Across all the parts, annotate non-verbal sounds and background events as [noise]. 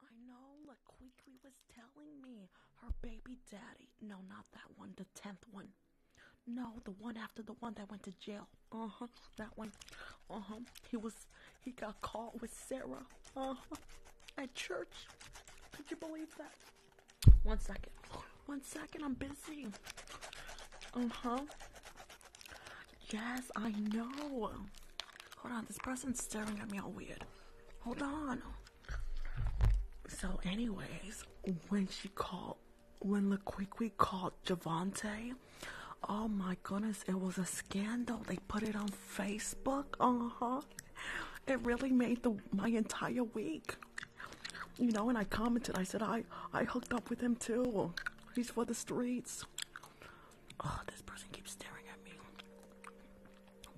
I know, like was telling me her baby daddy. No, not that one, the tenth one. No, the one after the one that went to jail. Uh huh, that one. Uh huh. He was, he got caught with Sarah. Uh huh. At church. Could you believe that? One second. One second, I'm busy. Uh huh. Yes, I know. Hold on, this person's staring at me all weird. Hold on. So, anyways, when she called, when LaQuiqui called Javante, oh my goodness, it was a scandal. They put it on Facebook. Uh huh. It really made the my entire week. You know, and I commented. I said, I I hooked up with him too. He's for the streets. Oh, this person keeps staring at me.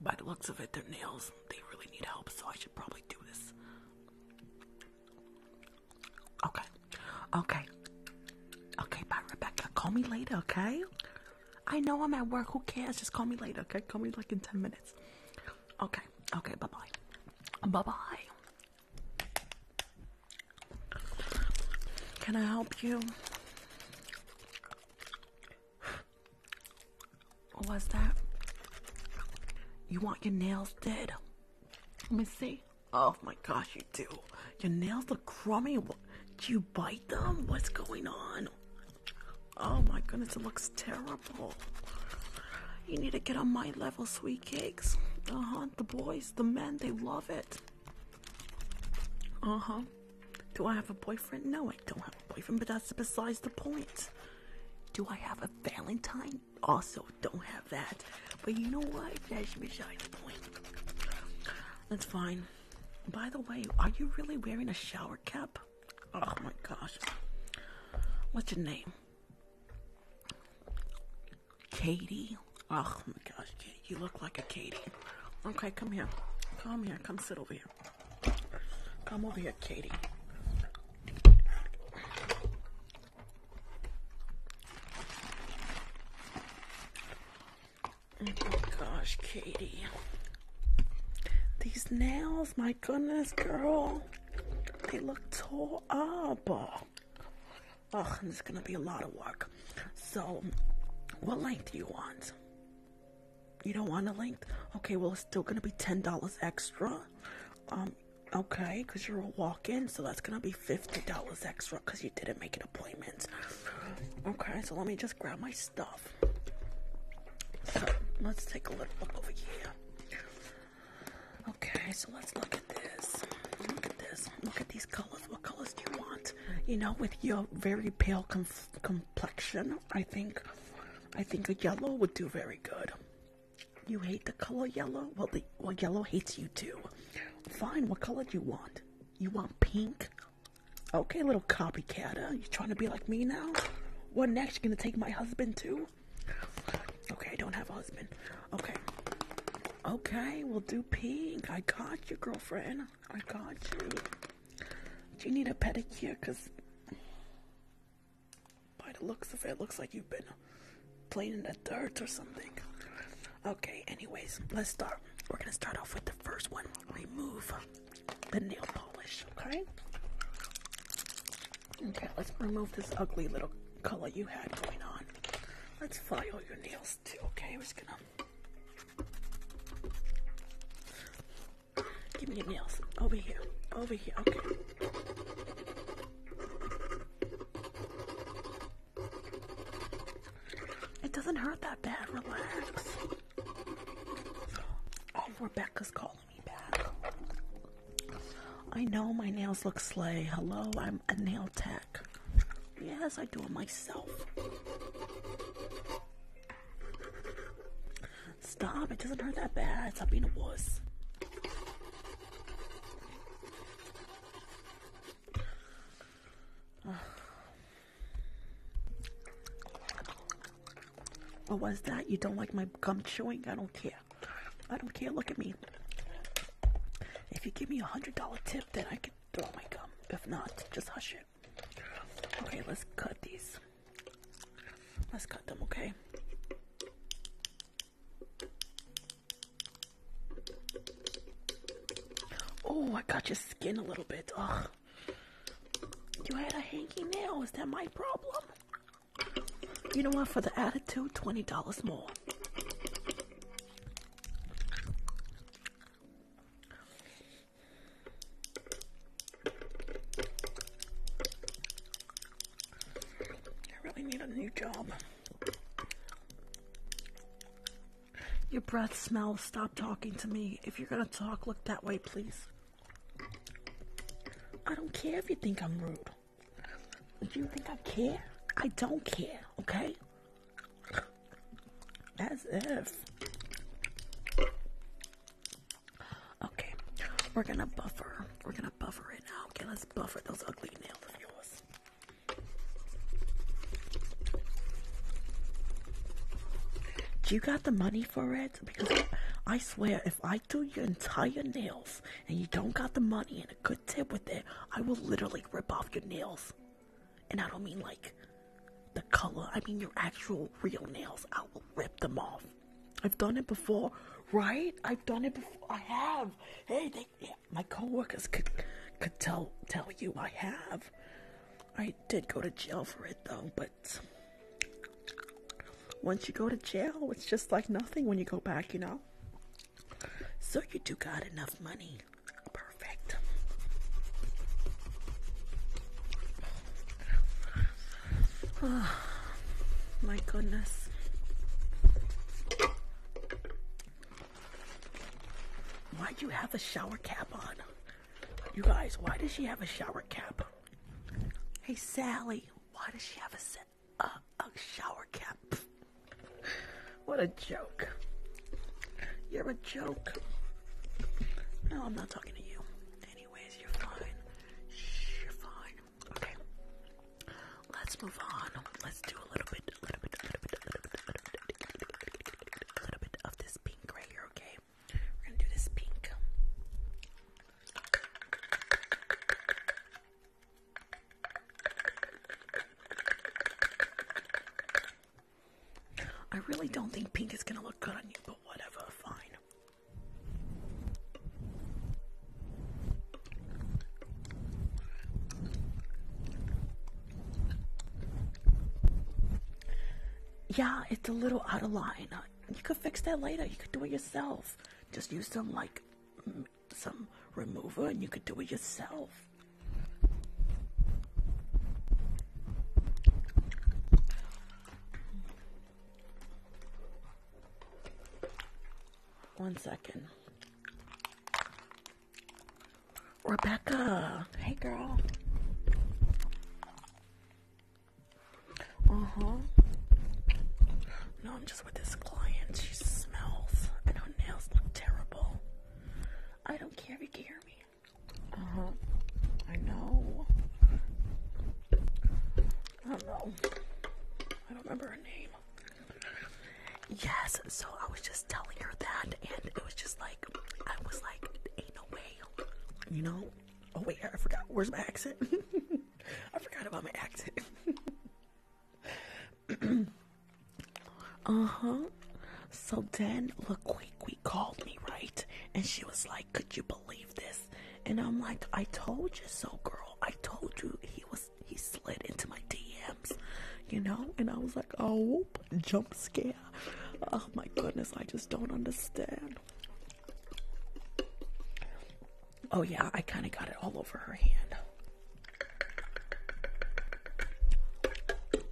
By the looks of it, their nails, they really need help, so I should probably do this. Okay. Okay. Okay, bye, Rebecca. Call me later, okay? I know I'm at work. Who cares? Just call me later, okay? Call me like in 10 minutes. Okay. Okay, bye bye. Bye bye. Can I help you? What was that? You want your nails dead? Let me see. Oh my gosh, you do. Your nails look crummy. What, did you bite them? What's going on? Oh my goodness, it looks terrible. You need to get on my level, sweet cakes. Uh huh. The boys, the men, they love it. Uh huh. Do I have a boyfriend? No, I don't have a boyfriend, but that's besides the point. Do I have a Valentine? Also, don't have that. But you know what? That's beside the point. That's fine. By the way, are you really wearing a shower cap? Oh my gosh. What's your name? Katie. Oh my gosh, you look like a Katie. Okay, come here. Come here. Come sit over here. Come over here, Katie. Oh my gosh, Katie. These nails, my goodness, girl. They look tore up. Oh, this is going to be a lot of work. So, what length do you want? You don't want a length? Okay, well, it's still going to be $10 extra. Um, okay, because you're a walk in, so that's going to be $50 extra because you didn't make an appointment. Okay, so let me just grab my stuff. So, let's take a little look over here. Okay, so let's look at this. Look at this. Look at these colors. What colors do you want? you know, with your very pale complexion, I think, I think a yellow would do very good. You hate the color yellow? Well, the, well, yellow hates you too. Fine, what color do you want? You want pink? Okay, little copycat, huh? You trying to be like me now? What next? You gonna take my husband too? Okay, I don't have a husband. Okay. Okay, we'll do pink. I got you, girlfriend. I got you. Do you need a pedicure? Because by the looks of it, looks like you've been playing in the dirt or something. Okay, anyways, let's start. We're going to start off with the first one. Remove the nail polish, okay? Okay, let's remove this ugly little color you had going on. Let's file your nails too, okay? We're just going to Give me your nails. Over here. Over here. Okay. It doesn't hurt that bad. Relax. Oh, Rebecca's calling me back. I know my nails look slay. Hello, I'm a nail tech. Yes, I do it myself. Stop, it doesn't hurt that bad. Stop being a wuss. [sighs] What was that? You don't like my gum chewing? I don't care. I don't care. Look at me. If you give me a hundred dollar tip, then I can throw my gum. If not, just hush Okay, let's cut these. Let's cut them, okay? Oh, I got your skin a little bit. Ugh. You had a hanky nail. Is that my problem? You know what? For the attitude, $20 more. I really need a new job. Your breath smells. Stop talking to me. If you're going to talk, look that way, please. I don't care if you think I'm rude. Do you think I care? I don't care, okay? As if. Okay, we're gonna buffer. We're gonna buffer it now. Okay, let's buffer those ugly nails of yours. you got the money for it? Because I swear, if I do your entire nails and you don't got the money and a good tip with it, I will literally rip off your nails. And I don't mean like the color, I mean your actual real nails. I will rip them off. I've done it before, right? I've done it before. I have. Hey, my coworkers could could tell tell you I have. I did go to jail for it though, but once you go to jail, it's just like nothing when you go back, you know. So you do got enough money Oh, my goodness. Why do you have a shower cap on? You guys, why does she have a shower cap? Hey, Sally, why does she have a shower cap? what a joke. You're a joke. No, I'm not talking to you. Anyways, you're fine. you're fine. Okay. Let's move on. Let's do a little bit, a little bit, a little bit, a little bit of this pink right here, okay? We're gonna do this pink. I really don't think pink is gonna look good on you, but whatever, fine. Yeah, it's a little out of line. Uh, you could fix that later. You could do it yourself. Just use some like some remover, and you could do it yourself. One second. Rebecca. Hey, girl. Uh huh. No, I'm just with this client. She smells, and her nails look terrible. I don't care if you can hear me. Uh huh. I know. I don't know. I don't remember her name. Yes, so I was just telling her that, and it was just like, I was like, ain't no way. You know? Oh, wait, I forgot. Where's my accent? [laughs] I forgot about my accent. [laughs] uh huh. So then, look, called me, right? And she was like, Could you believe this? And I'm like, I told you so, girl. I told you he was, he slid into my DMs, you know? And I was like, Oh, jump scare. Oh my goodness, I just don't understand. Oh, yeah, I kind of got it all over her hand.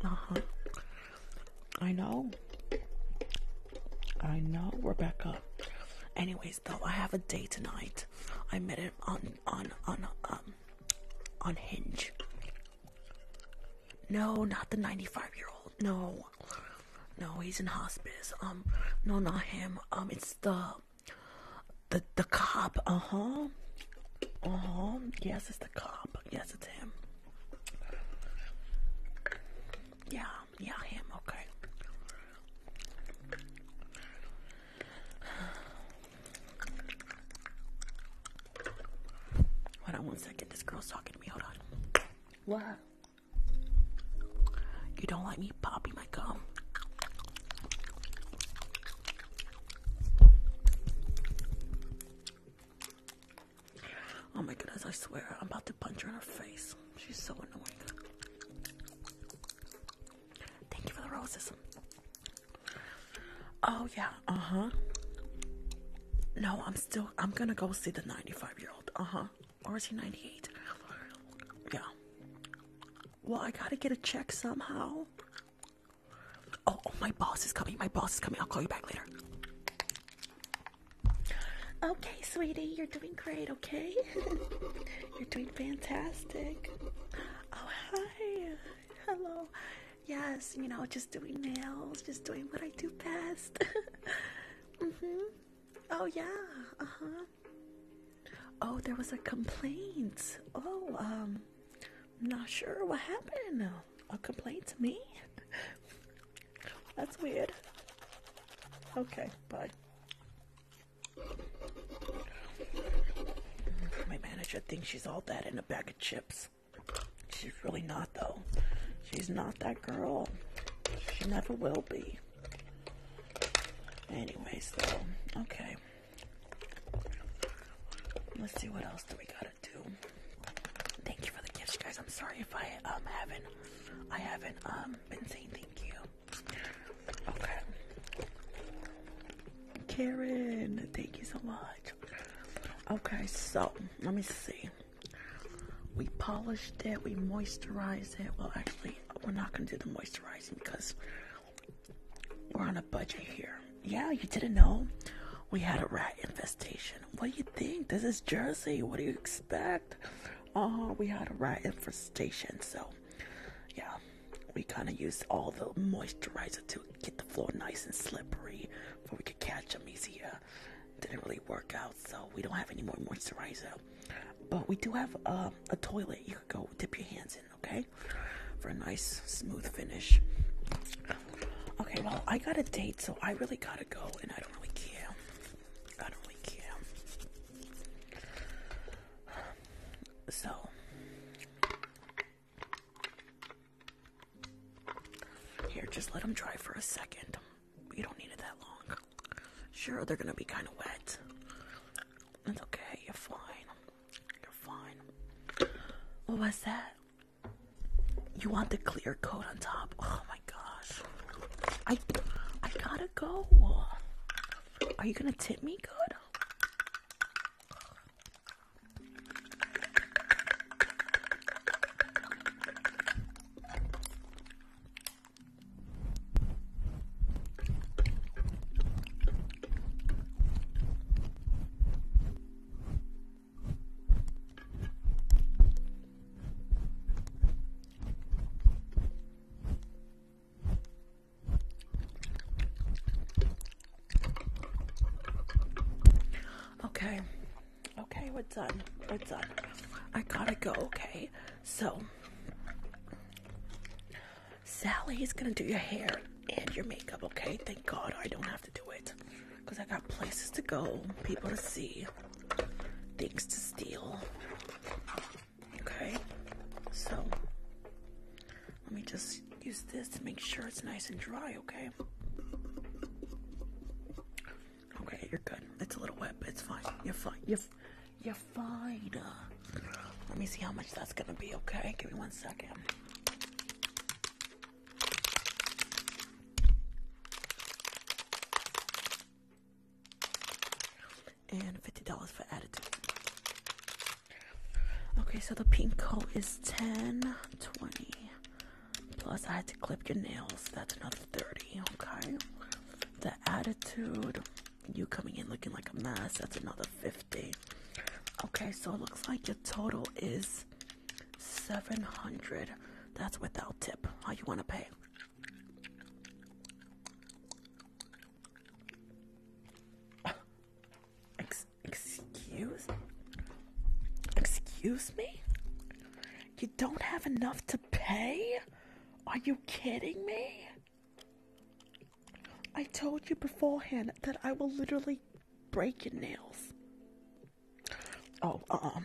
Uh huh. I know. I know, Rebecca. Anyways, though, I have a date tonight. I met him on on on um on Hinge. No, not the 95 year old. No, no, he's in hospice. Um, no, not him. Um, it's the the the cop. Uh huh. Uh huh. Yes, it's the cop. Yes, it's him. Yeah, yeah, him, okay. Hold on one second, this girl's talking to me, hold on. What? You don't like me popping my gum? Oh my goodness, I swear, I'm about to punch her in her face. She's so annoying. Thank you for the roses. Oh yeah, uh-huh. No, I'm still I'm gonna go see the 95 year old. Uh-huh. Or is he 98? Yeah. Well, I gotta get a check somehow. Oh, oh, my boss is coming. My boss is coming. I'll call you back later. Okay, sweetie, you're doing great, okay? [laughs] you're doing fantastic. Oh, hi. Hello. Yes, you know, just doing nails, just doing what I do best. [laughs] hmm. Oh, yeah. Uh huh. Oh, there was a complaint. Oh, um, I'm not sure what happened a complaint to me? That's weird. Okay, bye. My manager thinks she's all that in a bag of chips. She's really not, though. She's not that girl. She never will be. Anyways, though, okay. Let's see what else do we got got Thank you for the gifts, guys. I'm sorry if I um haven't I haven't um been saying thank you. Okay. Karen, thank you so much. Okay, so let me see. We polished it, we moisturized it. Well, actually, we're not gonna do the moisturizing because we're on a budget here. Yeah, you didn't know we had a rat infestation what do you think? This is Jersey. What do you expect? Uh, we had a rat infestation, so yeah, we kind of used all the moisturizer to get the floor nice and slippery before we could catch them easier. Didn't really work out, so we don't have any more moisturizer. But we do have um, a toilet you could go dip your hands in, okay? For a nice, smooth finish. Okay, well, I got a date, so I really gotta go, and I don't really care. I don't really care. So. Here, just let them dry for a second. You don't need it that long. Sure, they're gonna be kind of wet. That's okay, you're fine. You're fine. What was that? You want the clear coat on top? Oh my gosh. I I gotta go. Are you gonna tip me good? Okay, okay, we're done. We're done. I gotta go, okay? So, Sally is gonna do your hair and your makeup, okay? Thank God I don't have to do it because I got places to go, people to see, things to steal. Okay, so let me just use this to make sure it's nice and dry, okay? Okay, you're good. It's a little wet, but it's fine. You're fine. You're, you're fine. Let me see how much that's gonna be, okay? Give me one second and $50 for attitude. Okay, so the pink coat is 10, 20. Plus, I had to clip your nails. That's another 30. Okay. The attitude, you coming in looking like a mess. That's another 50. Okay, so it looks like your total is 700 that's without tip how you want to pay excuse excuse me you don't have enough to pay are you kidding me I told you beforehand that I will literally break your nails. Oh, um,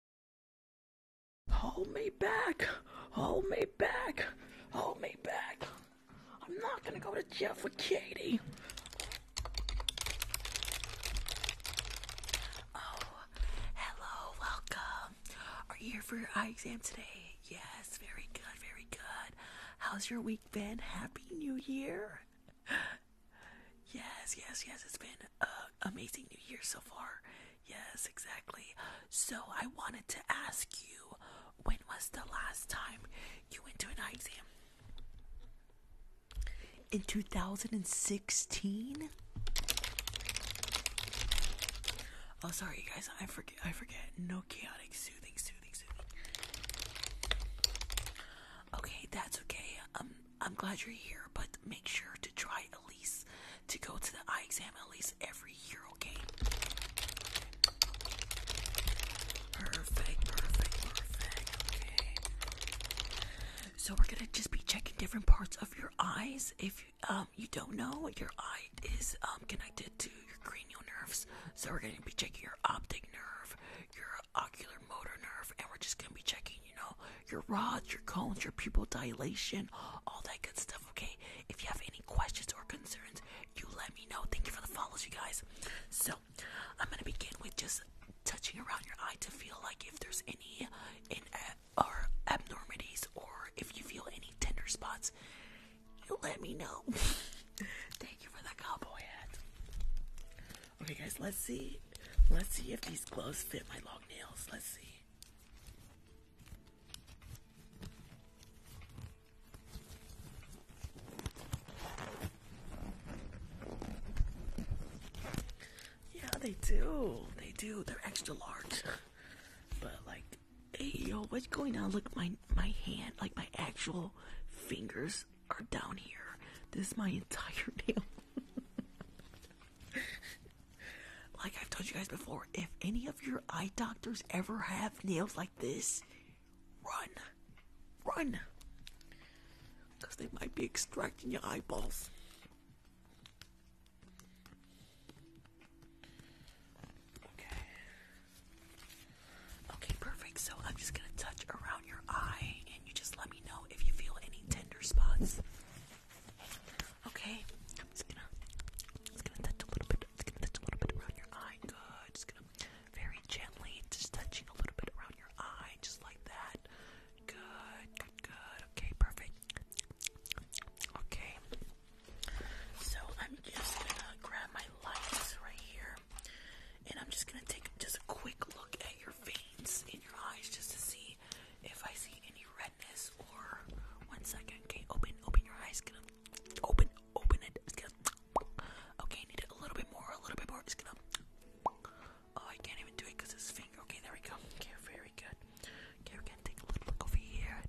Hold me back! Hold me back! Hold me back! I'm not gonna go to jail for Katie! Oh, hello, welcome! Are you here for your eye exam today? Yes, very good, very good. How's your week been? Happy New Year! [gasps] Yes, yes, yes, it's been an amazing New Year so far. Yes, exactly. So I wanted to ask you, when was the last time you went to an exam? In 2016? Oh, sorry, guys. I forget. I forget. No chaotic, soothing, soothing, soothing. Okay, that's okay. Um, I'm glad you're here, but make sure to try at least to go to the eye exam at least every year, okay? Perfect, perfect, perfect, okay. So we're gonna just be checking different parts of your eyes. If um you don't know, your eye is um connected to your cranial nerves. So we're gonna be checking your optic nerve, your ocular motor nerve, and we're just gonna be checking, you know, your rods, your cones, your pupil dilation, all that good stuff okay? If you have any questions or concerns, you let me know. Thank you for the follows, you guys. So, I'm gonna begin with just touching around your eye to feel like if there's any in uh, or abnormities or if you feel any tender spots, you let me know. [laughs] Thank you for the cowboy hat. Okay, guys, let's see. Let's see if these gloves fit my long nails. Let's see. Yeah, they do. They do. They're extra large. But like, hey yo, what's going on? Look, my my hand, like my actual fingers are down here. This is my entire [laughs] nail. Like I've told you guys before, if any of your eye doctors ever have nails like this, run. Run. Because they might be extracting your eyeballs. Okay. perfect. So I'm just going to touch around your eye and you just let me know if you feel any tender spots. Okay, I'm just gonna, just gonna touch a little bit, just gonna touch a little bit around your eye. Good. Just gonna very gently, just touching a little bit around your eye, just like that. Good, good, good. Okay, perfect. Okay. So I'm just gonna grab my lights right here, and I'm just gonna take just a quick look at your veins in your eyes just to see if I see any red sadness or one second. Okay, open, open your eyes. Gonna open, open it. It's going Okay, need it a little bit more, a little bit more. Just gonna. Oh, I can't even do it because it's finger. Okay, there we go. Okay, very good. Okay, we take a look over here.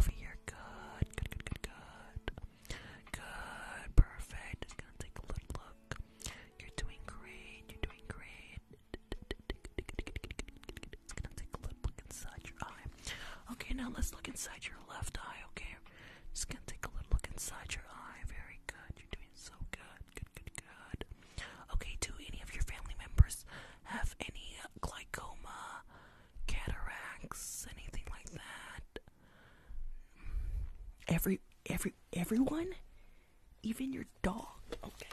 Over here, good, good, good, good, good. Good, perfect. Just gonna take a little look. You're doing great. You're doing great. It's gonna take a look inside your eye. Okay, now let's look inside your left eye, okay? Just gonna take a look inside your eye. Very good. You're doing so good. Good, good, good. Okay, do any of your family members have any uh, glaucoma, cataracts, anything like that? Every every everyone? Even your dog. Okay.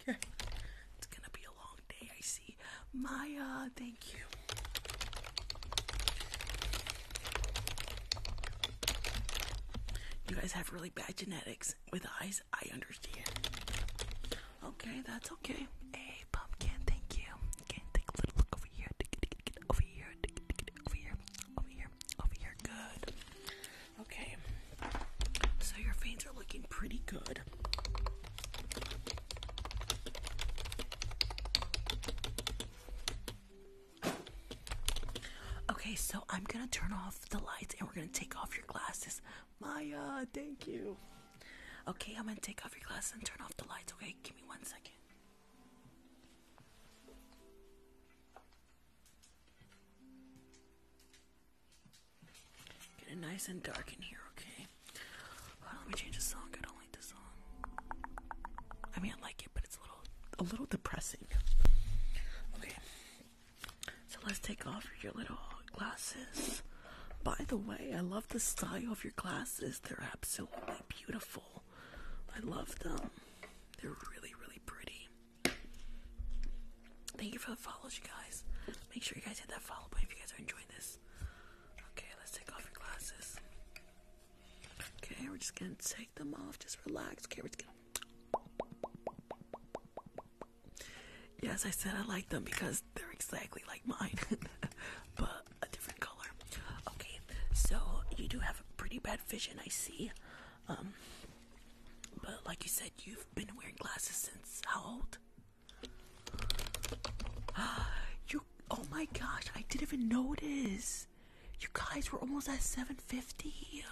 Okay. It's gonna be a long day, I see. Maya, thank you. You guys have really bad genetics with eyes, I understand. Okay, that's okay. Hey, pumpkin, thank you. Okay, take a little look over here. Over here, over here, over here, over here. Good. Okay, so your veins are looking pretty good. Okay, so I'm gonna turn off the lights and we're gonna take off your glasses. Maya, thank you. Okay, I'm gonna take off your glasses and turn off the lights, okay? Give me one second. Get it nice and dark in here, okay? let me change the song. I don't like this song. I mean, I like it, but it's a little, a little depressing. Okay, so let's take off your little glasses. By the way, I love the style of your glasses. They're absolutely beautiful. I love them. They're really, really pretty. Thank you for the follows, you guys. Make sure you guys hit that follow button if you guys are enjoying this. Okay, let's take off your glasses. Okay, we're just gonna take them off. Just relax. Okay, we're just gonna. Yes, I said I like them because they're exactly like mine, [laughs] but a different color. Okay, so you do have a pretty bad vision, I see. Um, but like you said, you've been wearing glasses since how old? [gasps] you oh my gosh, I didn't even notice. You guys were almost at 750.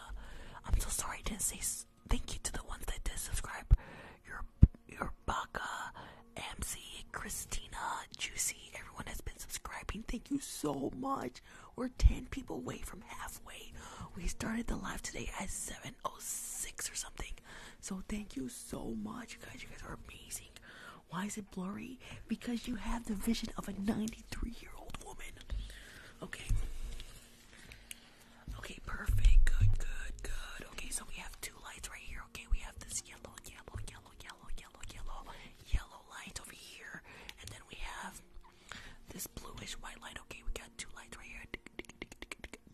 I'm so sorry I didn't say thank you to the ones that did subscribe. Your your Baka, MC, Christina, Juicy, everyone has been subscribing. Thank you so much. We're 10 people away from halfway. We started the live today at 7 0706 or something. So thank you so much, guys. You guys are amazing. Why is it blurry? Because you have the vision of a 93 year old woman. Okay. Okay, perfect. Good, good, good. Okay, so we have two lights right here. Okay, we have this yellow, yellow, yellow, yellow, yellow, yellow, yellow light over here. And then we have this bluish white light. Okay, we got two lights right here.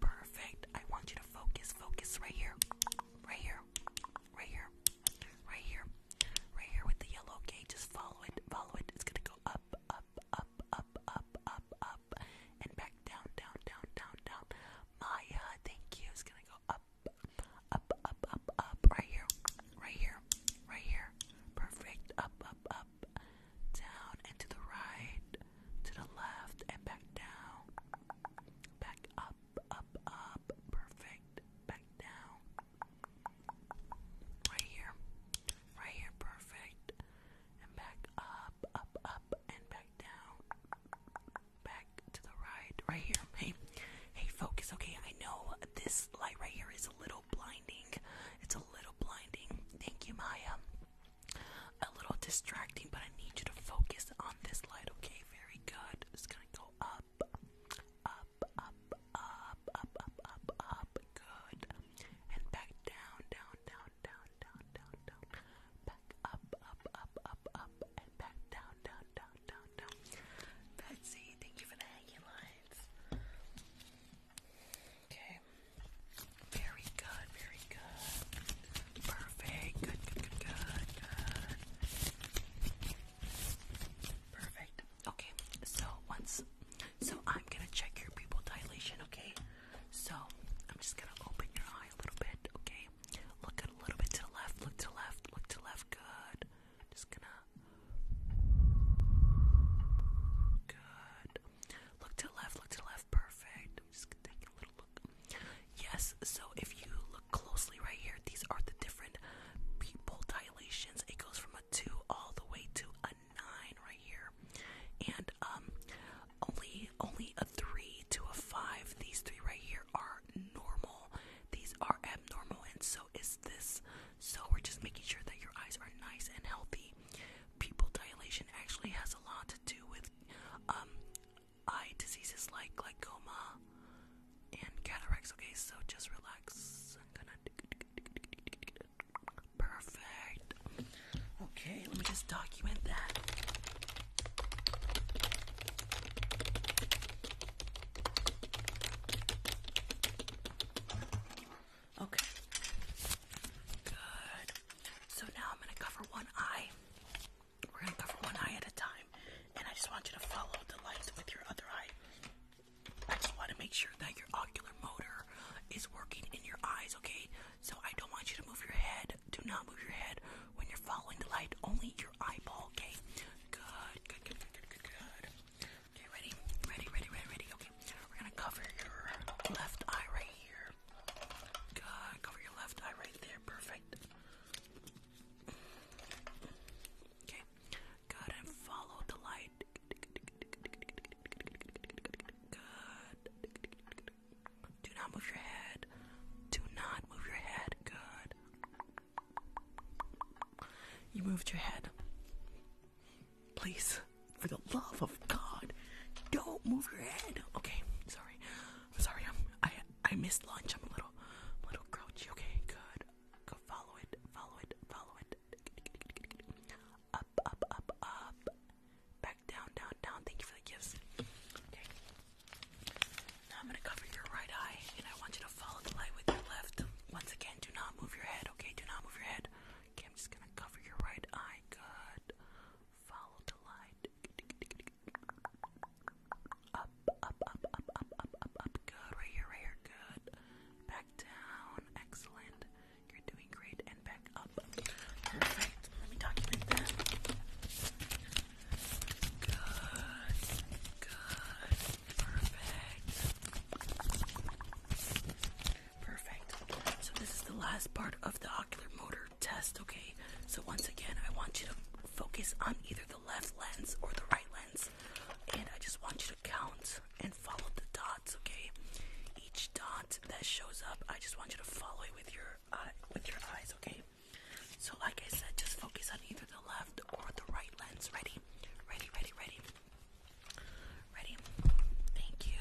Perfect. I want you to focus, focus right here, right here, right here, right here, right here with the yellow. Okay, just follow it, follow it. It's gonna go up, up, up, up, up, up, up, and back down, down, down, down, down. Maya, thank you. It's gonna go up, up, up, up, up, right here, right here, right here. Perfect. Up, up, up up, down, and to the right, to the left, and back down. Back up, up, up. Perfect. Back down. Right here. Right here. Perfect. And back up, up, up, and back down. Back to the right. Right here. Hey, hey, focus. Okay, I know this light right here is a little blinding. It's a little blinding. Thank you, Maya a little distracting, but I need you to focus on this light, okay? Very good. It's gonna go up, up, up, up, up, up, up, up. Good. And back down, down, down, down, down, down, down. Back up, up, up, up, up, and back down, down, down, down, down. Betsy, thank you for the hanging Okay. Very good, very good. Perfect. Good, good, good, good, Perfect. Okay, so once so I'm gonna check your pupil dilation, okay? So I'm just gonna open your eye a little bit, okay? Look a little bit to the left, look to left, look to left, good. Just gonna Good. Look to the left, look to the left, perfect. just taking a little look. Yes, so if you look closely right here, these are the different pupil dilations. It goes from a 2 all the way to a 9 right here. And um, only only a 3 to a 5. These three right here are normal. These are abnormal and so is this. So we're just making sure that your eyes are nice and healthy Pupil dilation actually has a lot to do with um, eye diseases like glaucoma and cataracts. Okay, so just relax. Perfect. Okay, let me just document that. Okay. Good. So now I'm going to cover one eye. We're going to cover one eye at a time. And I just want you to follow the lights with your other eye. I just want to make sure that your ocular motor is working in your eyes, okay? So I don't want you to move your head. Do not move your head when you're following the light, only your eyeball, okay? Good, good, good, good, good, good. Okay, ready? Ready, ready, ready, ready. Okay, we're gonna cover your left eye right here. God, cover your left eye right there. Perfect. Okay. Good and follow the light. Good. Do not move your head. Do not move your head. Good. You moved your head. Please, for the love of God, don't move your head. Okay, sorry. I'm sorry. i I missed lunch. I'm a little a little grouchy. Okay, good. Go follow it. Follow it. Follow it. Up, up, up, up. Back down, down, down. Thank you for the gifts. Okay. Now I'm gonna cover your right eye, and I want you to follow the light with your left. Once again, do not move your head. Okay, do not move your head. I'm just gonna cover your right eye. Good. Follow the light. Up, up, up, up, up, up, up, up. Good. Right here, right here. Good. Back down. Excellent. You're doing great. And back up. Perfect. Let me document that. Good. Good. Perfect. Perfect. So this is the last part of the ocular motor test, okay? So once again, I want you to focus on either the left lens or the right lens. And I just want you to count and follow the dots, okay? Each dot that shows up, I just want you to follow with your uh, with your eyes, okay? So like I said, just focus on either the left or the right lens. Ready? Ready, ready, ready. Ready? Thank you.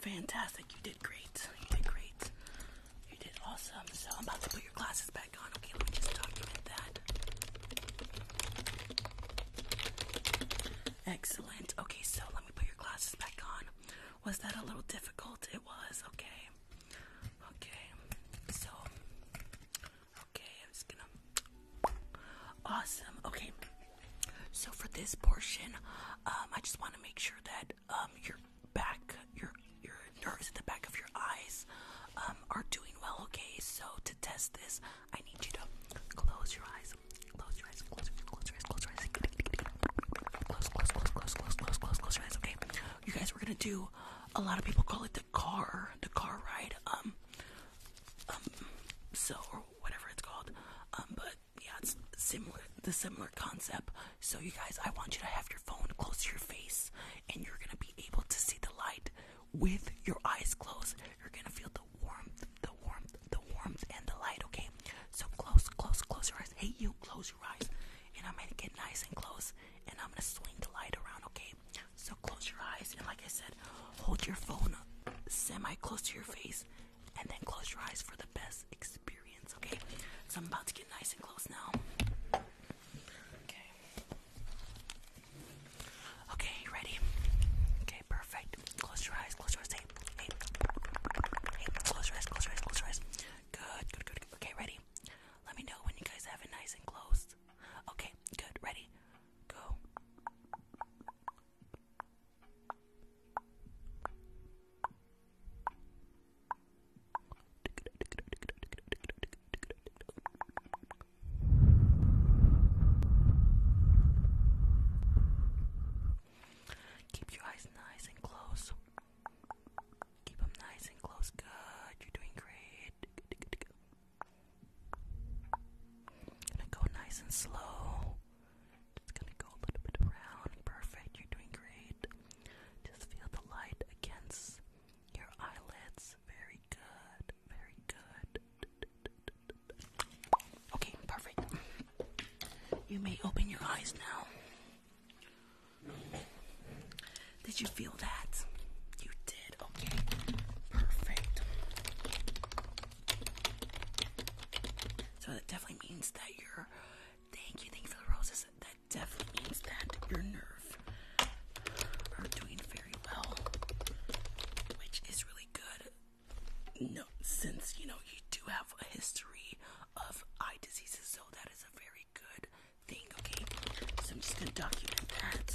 Fantastic, you did great. You did great. You did awesome. So I'm about to put your glasses back on. Okay, let me just document that. Excellent. Okay, so let me put your glasses back on. Was that a little difficult? It was. Okay. Okay. So Okay, I'm just gonna. Awesome. Okay, so for this portion, um, I just want to make sure that um, your back, your your nerves at the back of your eyes, um, are doing well. Okay, so to test this, I need you to close your eyes. Close your eyes. Close your eyes. Close your eyes. Close your eyes. close, close, close, close, close, close, close your eyes. Okay, you guys, we're gonna do. A lot of people call it the car, the car ride. Um, um, cell whatever it's called. Um, but yeah, it's similar, the similar concept. So you guys, I want you to have your phone close to your face, and you're gonna be able to see the light with your eyes closed. You're gonna feel the warmth, the warmth, the warmth, and the light. Okay, so close, close, close your eyes. Hey, you, close your eyes, and I'm gonna get nice and close, and I'm gonna swing the light around. Okay, so close your eyes and like I said, hold your phone semi close to your face and then close your eyes for the best experience, okay? So I'm about to get nice and close now. Okay. Okay, you ready? Okay, perfect. Close your eyes, close your eyes. Hey, hey, hey, close your eyes, close your eyes, close your eyes. good, good, good. Okay, ready? Let me know when you guys have it nice and closed. Okay, good, ready? Go. Keep your eyes nice and close. Keep them nice and close. Good. You're doing great. Gonna go nice and slow. Just gonna go a little bit around. Perfect, you're doing great. Just feel the light against your eyelids. Very good, very good. Okay, perfect. You may open your eyes now. Did you feel that? You did. Okay, perfect. So that definitely means that your thank you, thank you for the roses. That definitely means that your nerve are doing very well, which is really good. No, since you know you do have a history of eye diseases, so that is a very good thing. Okay, so I'm just gonna document that.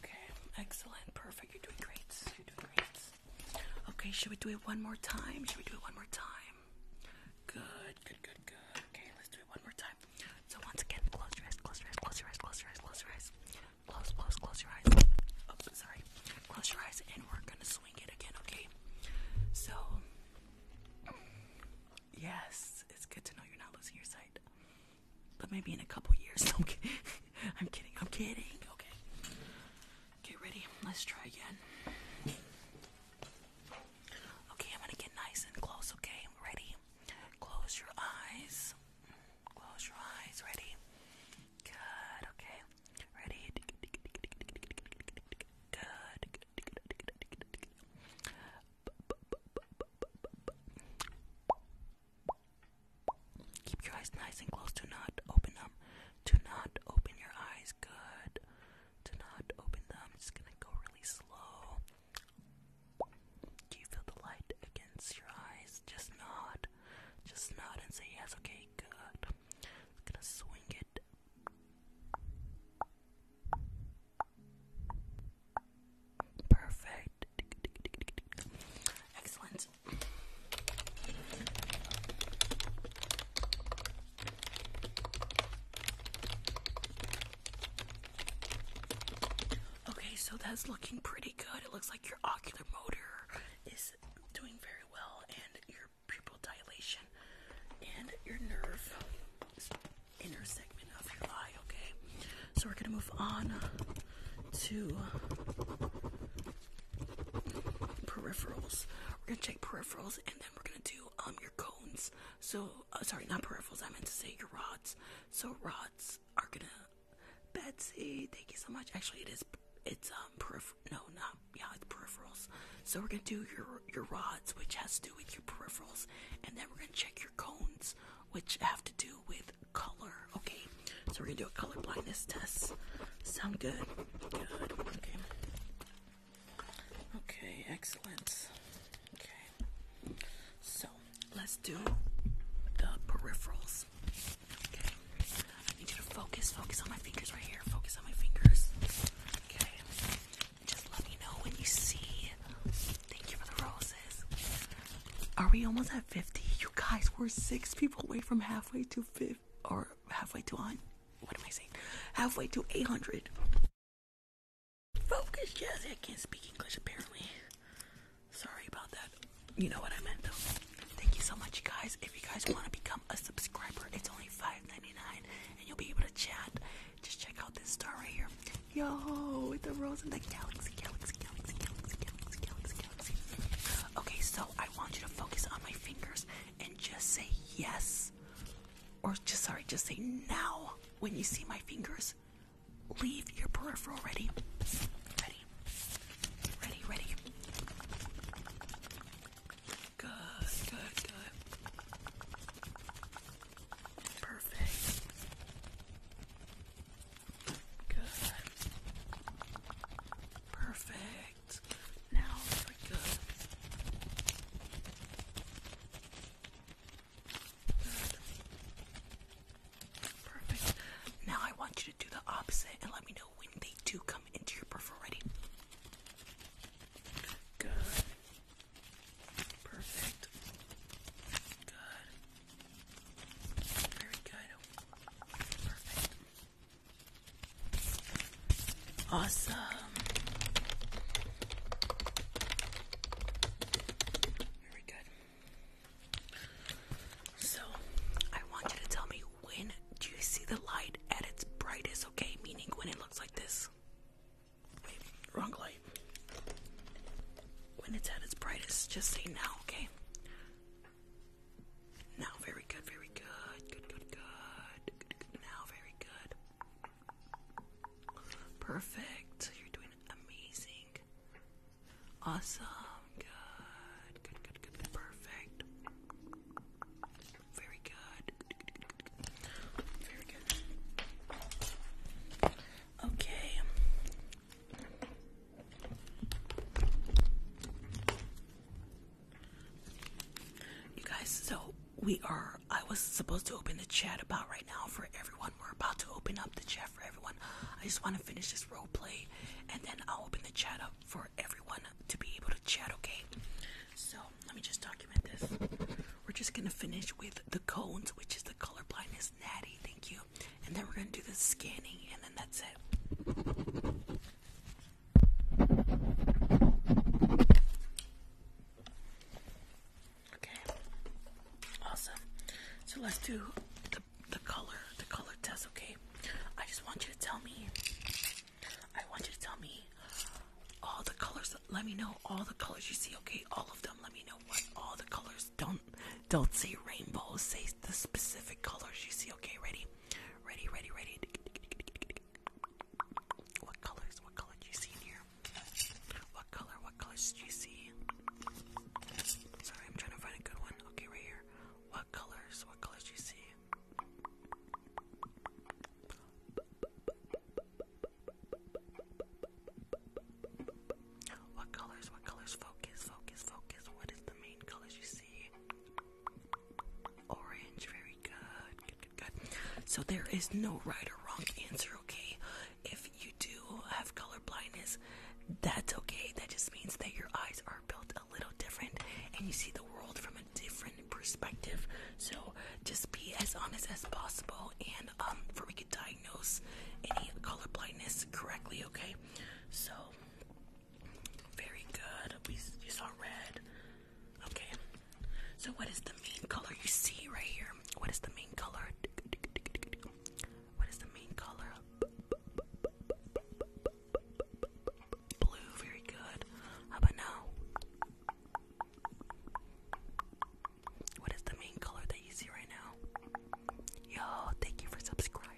Okay, excellent, perfect. You're doing great. You're doing great. Okay, should we do it one more time? Should we do it one more time? Good, good, good, good. Okay, let's do it one more time. So once again, close your eyes, close your eyes, close your eyes, close your eyes, close your eyes. Close, close, close your eyes. Oops, sorry. Close your eyes and we're gonna swing it again, okay? So yes, it's good to know you're not losing your sight but maybe in a couple [laughs] years. I'm, kidding. [laughs] I'm kidding. I'm kidding. Okay. Get ready. Let's try again. Okay, I'm gonna get nice and close. Okay, I'm ready. Close your eyes. Close your eyes. Ready. Good. Okay. Ready. Good. Keep your eyes nice and close. Do not open them. Do not open your eyes. Good. Do not open them. I'm just gonna go really slow. Do you feel the light against your eyes? Just nod. Just nod and say yes. Okay, good. gonna swing it. Perfect. Excellent. Okay, so that's looking pretty good. It looks like your ocular motor is doing very well, and your pupil dilation and your nerve inner segment of your eye, okay? So we're gonna move on to peripherals. We're gonna check peripherals and then we're gonna do um your cones. So uh, sorry, not peripherals. I meant to say your rods. So rods are gonna. Betsy, thank you so much. Actually, it is. It's um peripheral. No, not yeah. It's peripherals. So we're gonna do your your rods, which has to do with your peripherals, and then we're gonna check your cones, which have to do with color. Okay, so we're gonna do a color blindness test. Sound good? Good. Okay. Okay, excellent. Okay. So let's do the peripherals. Okay. I need you to focus, focus on my fingers right here. Focus on my fingers. Okay. Just let me know when you see Thank you for the roses. Are we almost at 50? You guys, were six people away from halfway to 50 or halfway to on. What am I saying? Halfway to 800. Focus, Jazzy. I can't speak English apparently. Sorry about that. You know what I meant though. Thank you so much, you guys. If you guys want to become a subscriber, it's only $5.99 and you'll be able to chat. Just check out this star right here. Yo, with the rolls in the galaxy, galaxy, galaxy, galaxy, galaxy, galaxy, galaxy. Okay, so I want you to focus on my fingers and just say yes. Or just sorry, just say now when you see my fingers. Leave your peripheral ready. Ready. Ready, ready. Good, good, good. Perfect. Good. Perfect. Now good. Perfect. Now I want you to do the opposite and let me know when they do come into your peripheral. Good. Perfect. Good. Very good. Perfect. Awesome. Very good. So, I want you to tell me when do you see the light at its brightest, okay? Meaning when it looks like this. wrong light. When it's at its brightest, just say now, okay? Now, very good, very good. Good, good, good. Now, very good. Perfect. You're doing amazing. Awesome. Good, good, good. good. Perfect. Very good. Very good. Okay. You guys, so we are. I was supposed to open the chat about right now for everyone. We're about to open up the chat for everyone. I just want to finish this role play and then I'll open the chat up for everyone to be able to chat, okay? So let me just document this. We're just gonna finish with the cones, which is the colorblindness natty. Thank you and then we're gonna do the scanning, and then that's it. Okay, awesome. So let's do the the color, the color test. Okay, I just want you to tell me. I want you to tell me all the colors. Let me know all the colors you see. Okay, all of them. Let me know what all the colors don't don't say rainbows. Say the specific colors you see. Okay, ready, ready, ready, ready. What colors? What color do you see in here? What color? What colors do you see? Sorry, I'm trying to find a good one. Okay, right here. What colors? What colors do you see? What colors? What colors? Focus, focus, focus. What is the main colors you see? Orange, very good. Good, good, good. So there is no right or wrong answer, okay? If you do have color blindness, that's okay. That just means that your eyes are built a little different and you see the world from a different perspective. So just be as honest as possible and um for diagnose any color blindness correctly, okay? So, very good. you saw red. Okay. So, what is the main color you see right here? What is the main color? What is the main color? Blue, very good. How about now? what is the main color that you see right now? Yo, thank you for subscribing.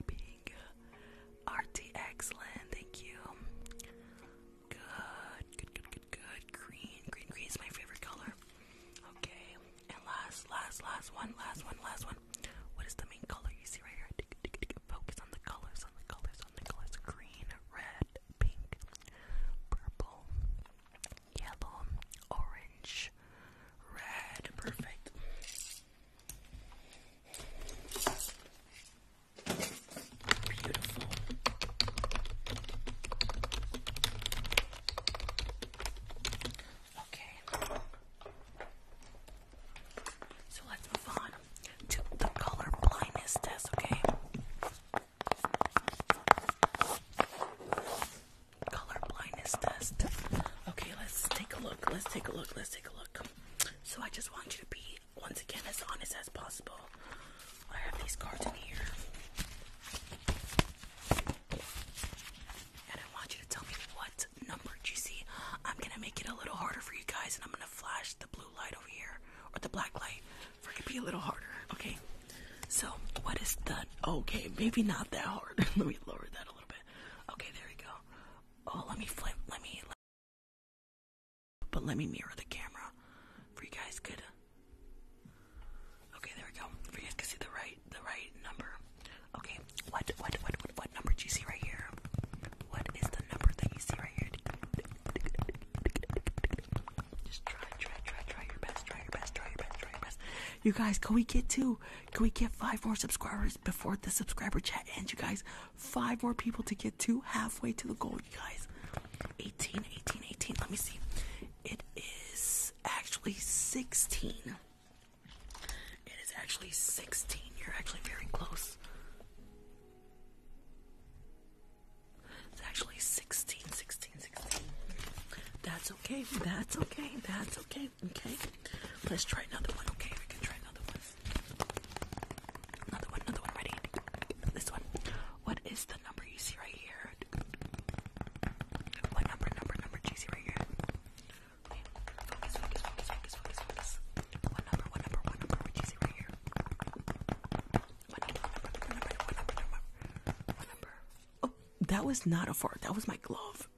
RTX Land, thank you. Good, good, good, good, good. Green, green, green is my favorite color. Okay, and last, last, last one, last one, last one. What is the main color you see right here? Focus on the colors, on the colors, on the colors. Green, red, pink, purple, yellow, orange, red. Perfect. Beautiful. Okay. So let's move on to the color blindness test, okay? color blindness test. Okay, let's take a look. Let's take a look. Let's take a look. So I just want you to be once again as honest as possible. I have these cards in here. And I want you to tell me what number do you see. I'm gonna make it a little harder for you guys and I'm gonna flash the blue light over here or the black light for it to be a little harder. Okay. So what is that? okay, maybe not that hard. [laughs] Let me lower that a little bit. Okay, there we go. Oh, let me flip. Let me. Let but let me mirror the camera for you guys could. Okay, there we go. For you guys could see the right, the right number. Okay, what, what, what, what, what number do you see right here? What is the number that you see right here? Just try, try, try, try your best, try your best, try your best, try your best. You guys, can we get to can we get five more subscribers before the subscriber chat And you guys? Five more people to get to halfway to the goal, you guys. 18, 18, 18. Let me see. It is actually 16. It is actually 16. You're actually very close. It's actually 16, That's okay. That's okay. That's okay. Okay, Let's try another one. Okay, we can try another one. Another one, another one. Ready? This one. What is the number you see right here? What number, number, number do right here? Focus, focus, focus, focus, focus, focus. What number, what number, what number would right here? What number, what number, number, what number, number? What number? Oh, that was not a fart. That was my glove.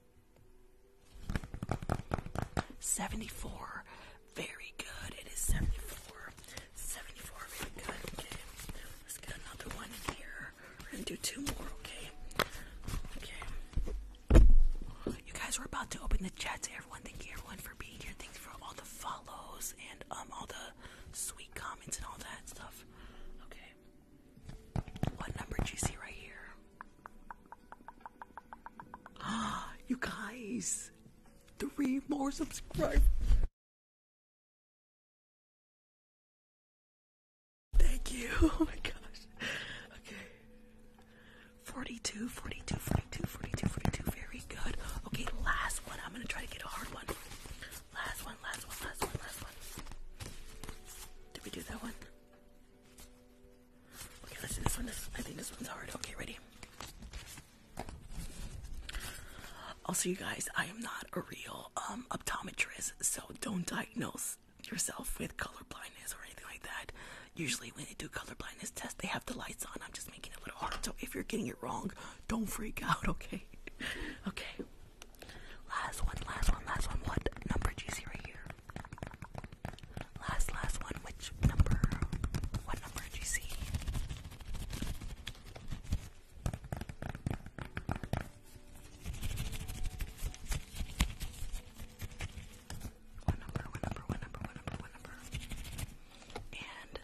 74. Very good. It is 74. 74. Very good. Okay. Let's get another one in here. We're going to do two more, okay? Okay. You guys, we're about to open the chat to everyone. Thank you, everyone, for being here. Thanks for all the follows and um all the sweet comments and all that stuff. Okay. What number do you see right here? Ah, [gasps] you guys, three more subscribers. Thank you. [laughs] Oh my gosh. Okay. 42, 42, 42, 42, 42. Very good. Okay, last one. I'm going to try to get a hard one. Last one, last one, last one, last one. Did we do that one? Okay, let's listen, this one I think this one's hard. Okay, ready? Also, you guys, I am not a real um, optometrist, so don't diagnose yourself with color blindness or anything like that. Usually, when they do color blindness tests, they have the lights on. I'm just making it a little hard, so if you're getting it wrong, don't freak out, [laughs] okay? okay. Last one, last one, last one. What number do you see right here? Last, last one. Which number? What number did you see? What number? What number? What number? What number? What number? And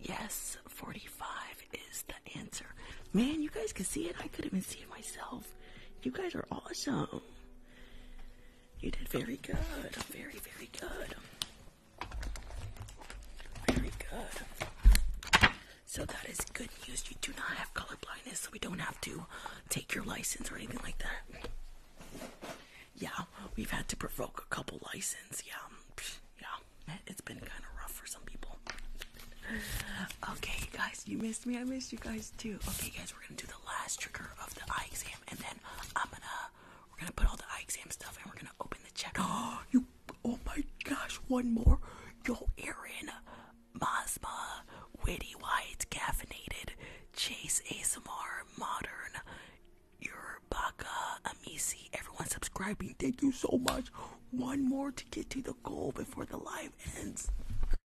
yes, forty-five is the answer. Man, you guys can see it. I couldn't even see it myself. You guys are awesome. You did very good. Very, very good. Very good. So that is good news. You do not have color blindness, so we don't have to take your license or anything like that. Yeah, we've had to provoke a couple license. Yeah, yeah, it's been kind of rough for some people okay, guys, you missed me. I missed you guys too. Okay, guys, we're gonna do the last trigger of the eye exam, and then I'm gonna we're gonna put all the eye exam stuff, and we're gonna open the check. Oh, [gasps] you! Oh my gosh, one more. Yo, Aaron, Masma, Witty White, Caffeinated, Chase ASMR, Modern, Urbaka, Amisi. Everyone subscribing, thank you so much. One more to get to the goal before the live ends.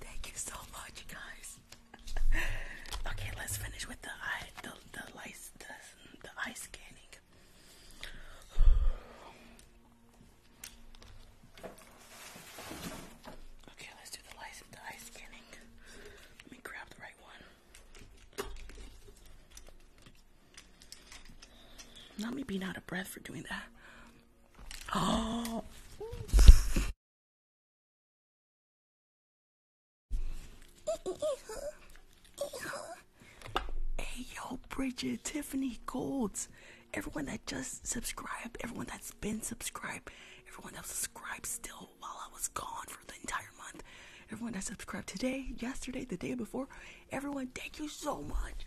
Thank you so much, guys. okay, let's finish with the eye, the the eye scanning. Okay, let's do the eye scanning. Let me grab the right one. Not me being out of breath for doing that hey, yo, Bridget, Tiffany, Golds, everyone that just subscribed, everyone that's been subscribed, everyone that subscribed still while I was gone for the entire month, everyone that subscribed today, yesterday, the day before, everyone, thank you so much.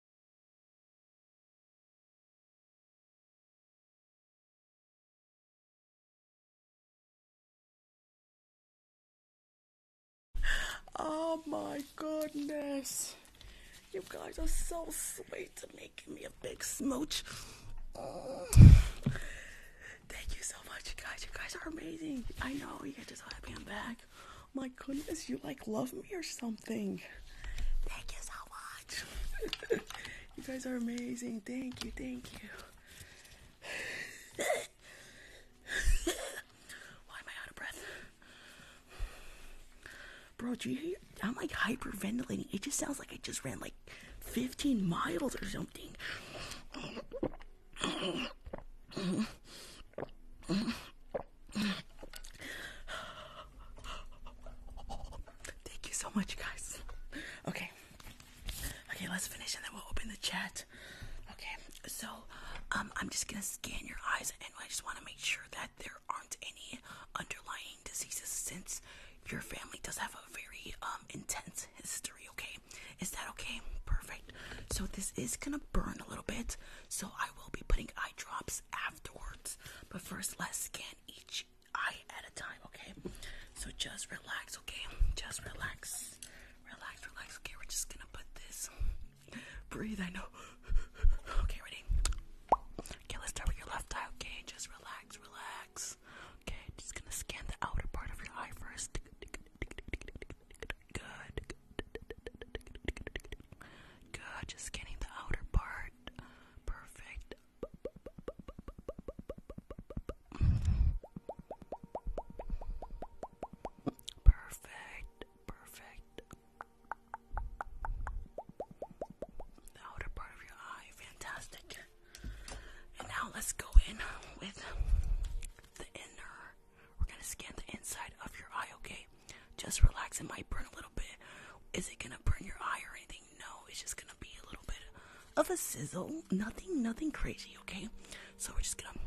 Oh my goodness. You guys are so sweet to me. me a big smooch. [sighs] Thank you so much, you guys. You guys are amazing. I know you guys are so I'm back. My goodness, you like love me or something. Thank you so [laughs] you guys are amazing. Thank you. Thank you. [laughs] Why am I out of breath? Bro, do you hear? I'm like hyperventilating. It just sounds like I just ran like 15 miles or something. Thank you so much, guys. Okay. Okay, let's finish and then we'll open the chat. Okay, so um, I'm just gonna scan your eyes and I just wanna make sure that there aren't any underlying diseases since your family does have a very um, intense history, okay? Is that okay? Perfect. So this is gonna burn a little bit, so I will be putting eye drops afterwards. But first, let's scan each eye at a time, okay? So just relax, okay? Just relax. Relax, relax. Okay, we're just gonna put this. Breathe, I know. Okay, ready? Okay, let's start with your left eye, okay? Just relax, relax. Okay, just gonna scan the outer part of your eye first. Good. Good, just scanning the outer part. Perfect. Perfect, perfect. The outer part of your eye, fantastic. And now let's go in with the inner. We're gonna scan the inside of your eye, okay? Just relax. It might burn a little bit. Is it gonna burn your eye or anything? No, it's just gonna be a little bit of a sizzle. Nothing, nothing crazy, okay? So we're just gonna.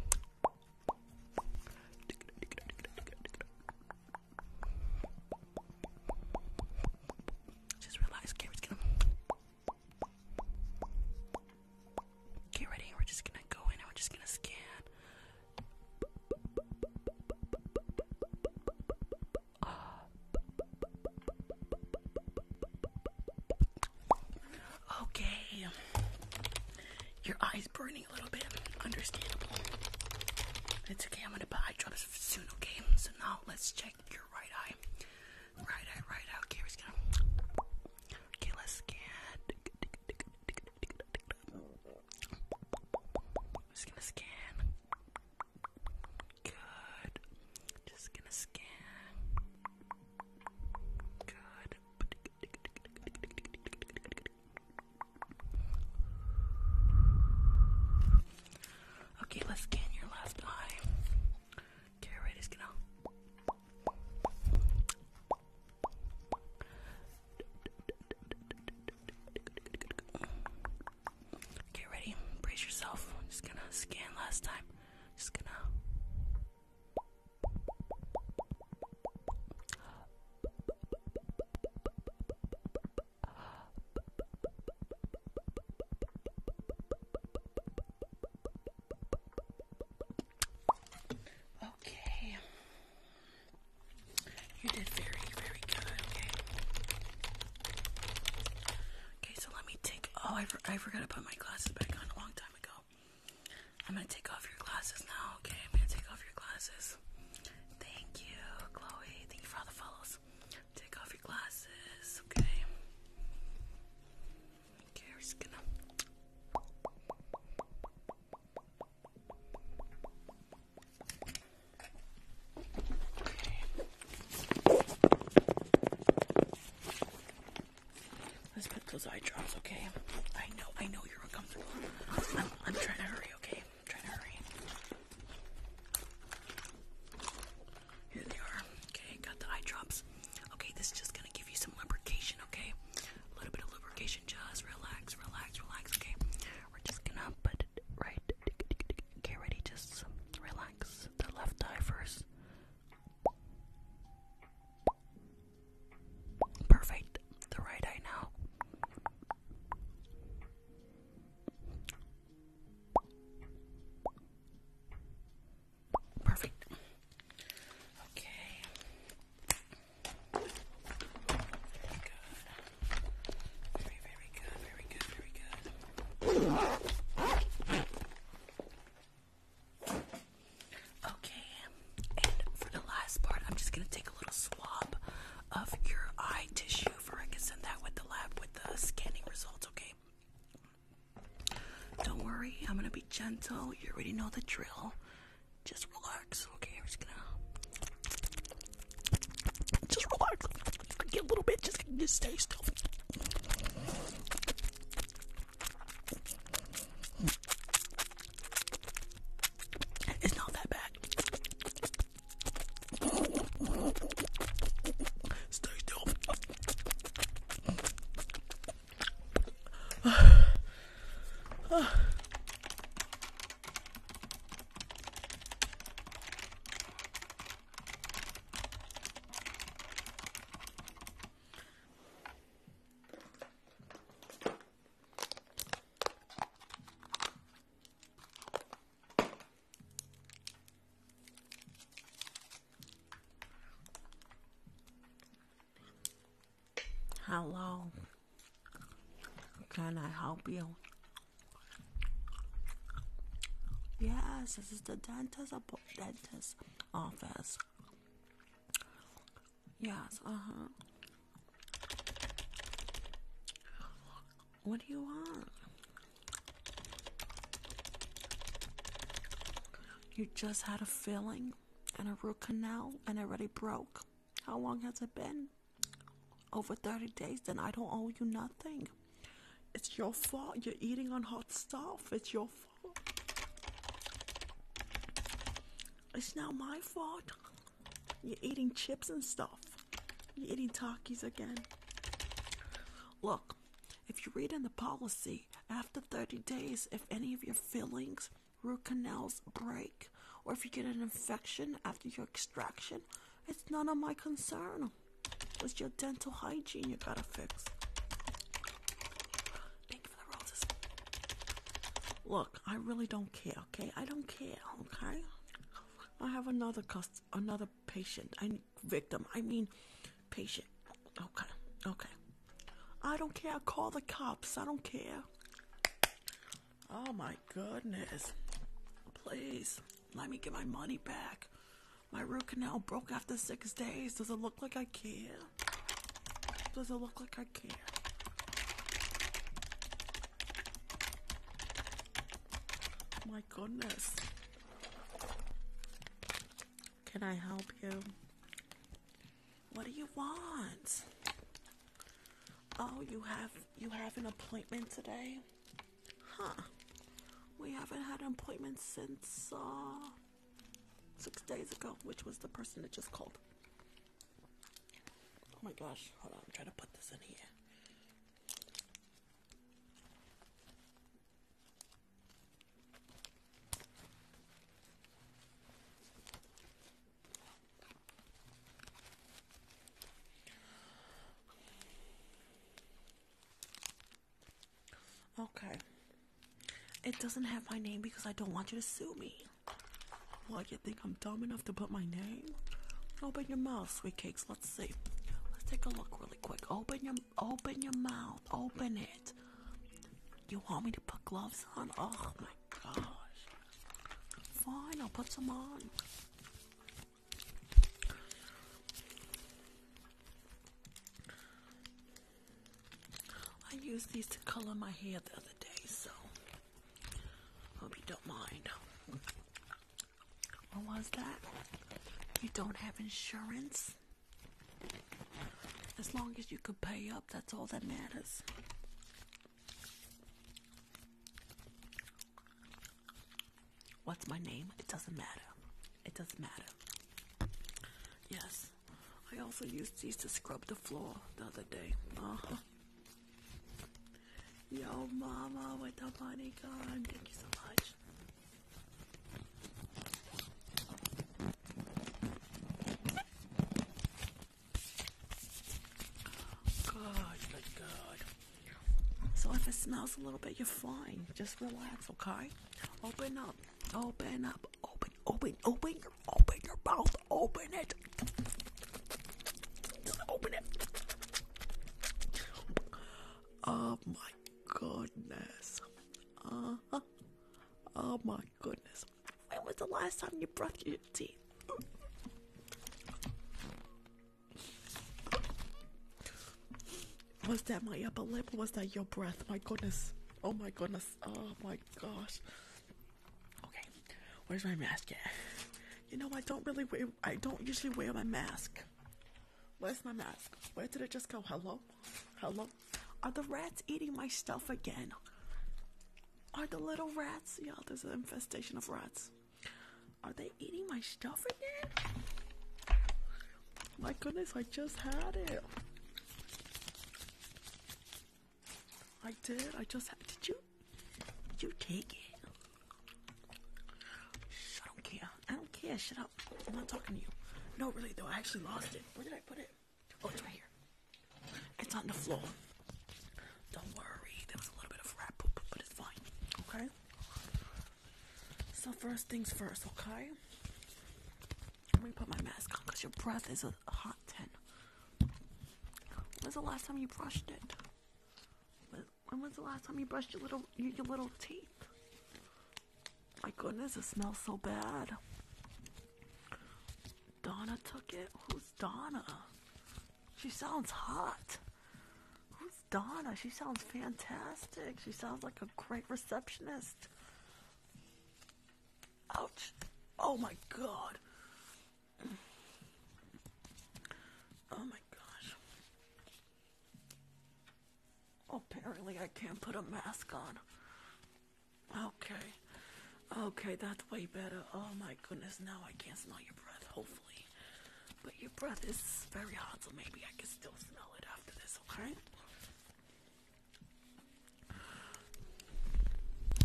Just realize, okay, we're just gonna. Get ready, we're just gonna go in we're just gonna scan. Okay. Your eyes burning a little bit. Understandable. It's okay. I'm gonna put eye drops soon. Okay. So now let's check your right eye. Right eye. Right eye. Okay. We're just gonna. Okay. Let's scan. just gonna scan. Good. Just gonna scan. Good. Okay, let's scan your last eye. Okay, right Get ready, brace yourself. I'm just gonna scan last time. Just gonna. Okay. You did very, very good, okay? Okay, so let me take. Oh, I, forgot to put my glasses back on a long time ago. I'm gonna take off your glasses now, okay? I'm gonna take off your glasses. Thank you, Chloe. Thank you for all the follows. Take off your glasses, okay? Okay, we're just gonna. Let's put those eye drops, okay? I know, I know you're uncomfortable. I'm, trying to hurry, okay? I'm trying to hurry. Here they are. Okay, got the eye drops. Okay, this is just gonna give you some lubrication, okay? A little bit of lubrication, just relax, relax, relax, okay? We're just gonna put it right. Get ready, just relax the left eye first. Perfect. The right eye now. Perfect. Okay. Very, very Okay, and for the last part, I'm just gonna take a little swab of your eye tissue for I can send that with the lab with the scanning results, okay? Don't worry, I'm gonna be gentle. You already know the drill. Just relax, okay? I'm just just relax. Get a little bit. Just, just stay still. It's not that bad. Stay still. Hello. can I help you? Yes, this is the dentist's office. Yes, uh-huh. What do you want? You just had a filling and a root canal and already broke. How long has it been? Over 30 days, then I don't owe you nothing. It's your fault. You're eating on hot stuff. It's your fault. It's not my fault. You're eating chips and stuff. You're eating Takis again. Look, if you read in the policy, after 30 days, if any of your fillings, root canals break, or if you get an infection after your extraction, it's none of my concern. It's your dental hygiene you gotta fix. Thank you for the roses. Look, I really don't care, okay? I don't care, okay? I have another cust another patient. I victim. I mean patient. Okay. Okay. I don't care. I call the cops. I don't care. Oh my goodness. Please. Let me get my money back. My root canal broke after six days. Does it look like I can? Does it look like I can? My goodness. Can I help you? What do you want? Oh, you have you have an appointment today? Huh. We haven't had an appointment since uh, six days ago, which was the person that just called. Oh my gosh, hold on, I'm trying to put this in here. Okay. It doesn't have my name because I don't want you to sue me. Why What, you think I'm dumb enough to put my name? Open your mouth, sweetcakes. Let's see. Let's take a look really quick. Open your open your mouth. Open it. You want me to put gloves on? Oh my gosh. Fine, I'll put some on. I used these to color my hair the other day, so hope you don't mind. What was that? You don't have insurance? As long as you can pay up, that's all that matters. What's my name? It doesn't matter. It doesn't matter. Yes. I also used these to scrub the floor the other day. Uh-huh. Yo, mama, with the money gone. Thank you so much. Good, good, good. So if it smells a little bit, you're fine. Just relax, okay? Open up, open up, open, open, open your, open your mouth, open it, open it. Oh my goodness. Uh-huh. Oh my goodness. When was the last time you brushed your teeth? Was that my upper lip? Was that your breath? My goodness. Oh my goodness. Oh my gosh. Okay, where's my mask You know I don't really wear. I don't usually wear my mask. Where's my mask? Where did it just go? Hello? Hello? Are the rats eating my stuff again? Are the little rats? Yeah, there's an infestation of rats. Are they eating my stuff again? My goodness, I just had it. I did. I just had. Did you? Did you take it? I don't care. I don't care. Shut up. I'm not talking to you. No, really though. I actually lost it. Where did I put it? Oh, it's right here. It's on the floor. Don't worry. There was a little bit of rat poop, but it's fine. Okay. So first things first, okay? Let me put my mask on because your breath is a hot ten. When's the last time you brushed it? When was the last time you brushed your little your, your little teeth? My goodness, it smells so bad. Donna took it. Who's Donna? She sounds hot. Who's Donna? She sounds fantastic. She sounds like a great receptionist. Ouch. Oh my god. Oh my gosh. apparently I can't put a mask on. Okay. Okay, that's way better. Oh my goodness, now I can't smell your breath. But your breath is very hot, so maybe I can still smell it after this, okay?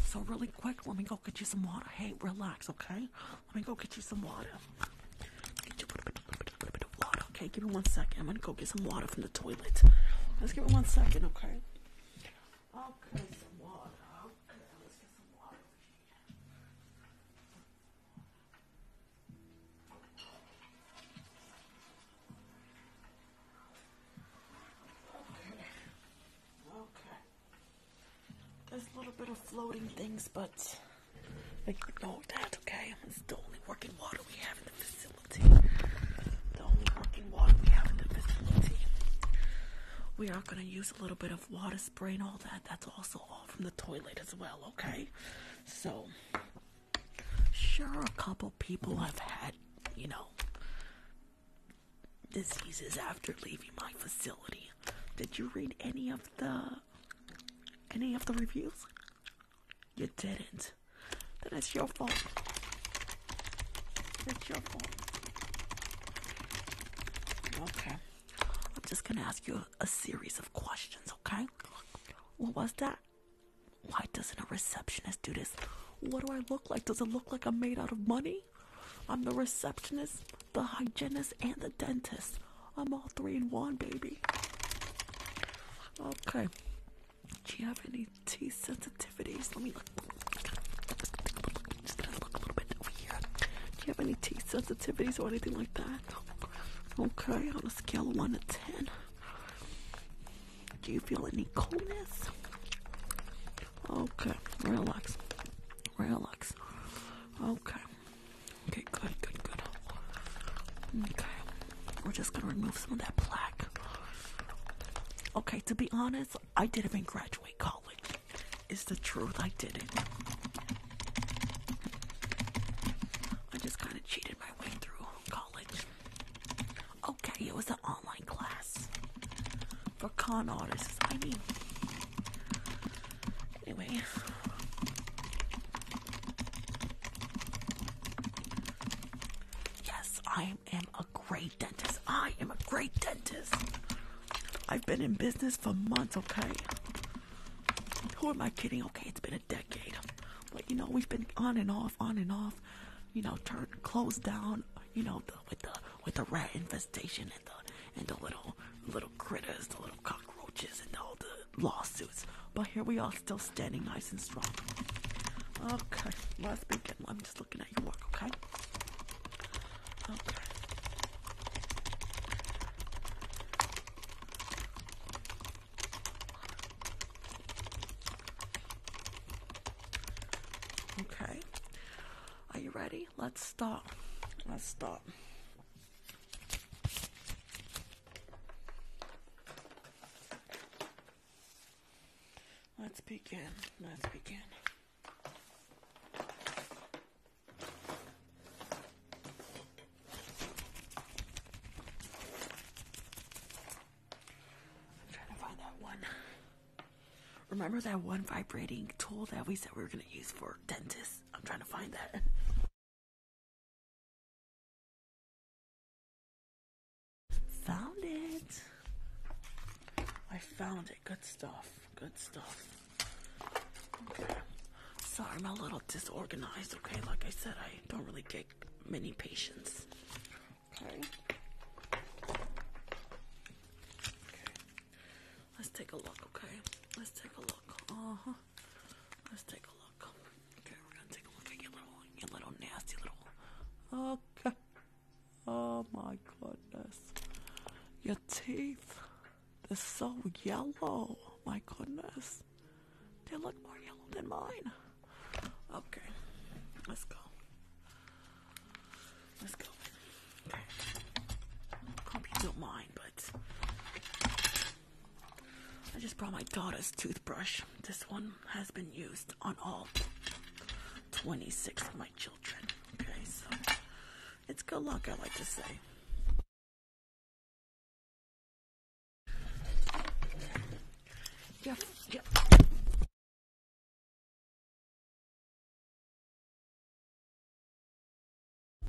So really quick, let me go get you some water. Hey, relax, okay? Let me go get you some water. Get you a little bit, of water, okay? Give me one second. I'm gonna go get some water from the toilet. Let's give me one second, okay? Okay, some water. Okay, there's a little bit of floating things, but we ignore that, okay? It's the only working water we have in the facility. The only working water we have in the facility. We are going to use a little bit of water spray and all that. That's also all from the toilet as well, okay? So, sure, a couple people have had, you know, diseases after leaving my facility. Did you read any of the any of the reviews? You didn't. Then it's your fault. It's your fault. Okay. I'm just gonna ask you a, a series of questions, okay? What was that? Why doesn't a receptionist do this? What do I look like? Does it look like I'm made out of money? I'm the receptionist, the hygienist, and the dentist. I'm all three in one, baby. Okay. Do you have any teeth sensitivities? Let me look. Just gonna look a little bit over here. Do you have any teeth sensitivities or anything like that? Okay, on a scale of 1 to 10, do you feel any coldness? Okay, relax. Relax. Okay. Okay, good, good, good. Okay. We're just gonna remove some of that plaque. Okay, to be honest, I didn't even graduate college. It's the truth, I didn't. I just kind of cheated my way through college. Okay, it was an online class for con artists. I mean, anyway. Yes, I am a great dentist. I am a great dentist. I've been in business for months, okay? Who am I kidding? Okay, it's been decade but you know, we've been on and off, on and off, you know, turned closed down, you know, with the with the rat infestation and the and the little little critters, the little cockroaches, and all the lawsuits. But here we are, still standing nice and strong. Okay, let's begin. I'm just looking at your work, Okay. Okay. Are you ready? Let's start. Let's start. Let's begin. Let's begin. I'm trying to find that one. Remember that one vibrating tool that we said we were going to use for dentists? I'm trying to find that. [laughs] Found it. I found it. Good stuff. Good stuff. Sorry, I'm a little disorganized, okay? Like I said, I don't really get many patients. Okay. Let's take a look, okay? Let's take a look. Uh-huh. Let's take a look. Okay, we're gonna take a look at your little your little nasty little Okay. Oh my goodness. Your teeth. They're so yellow. my goodness. They look more yellow than mine. Okay, let's go. Let's go. Okay. Hope you don't but I just brought my daughter's toothbrush. This one has been used on all 26 of my children. Okay, so it's good luck, I like to say.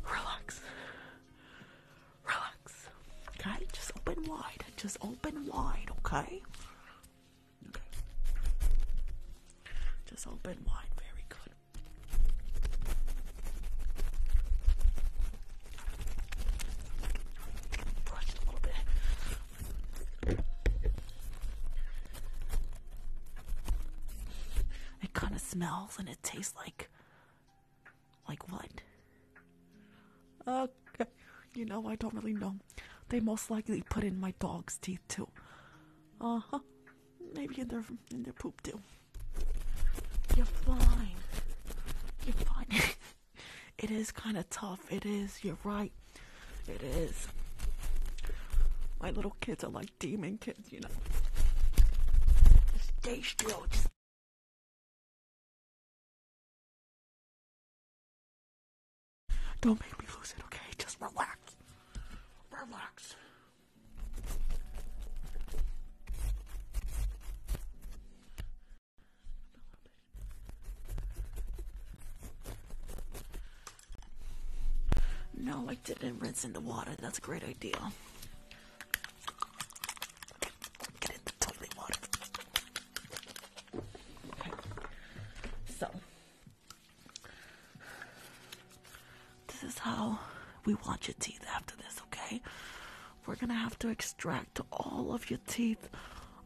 Relax. Relax. Okay? Just open wide. Just open wide, Okay. Just open wide. Very good. It kind of smells and it tastes like. Like what? Okay. You know, I don't really know. They most likely put in my dog's teeth too. Uh huh. Maybe in their in their poop too. You're fine. You're fine. [laughs] it is kind of tough. It is. You're right. It is. My little kids are like demon kids, you know. Just stay still. Just Don't make me lose it, okay? Just relax. Relax. No, I didn't rinse in the water. That's a great idea. Get in the toilet water. Okay. So, this is how we watch your teeth after this, okay? We're gonna have to extract all of your teeth.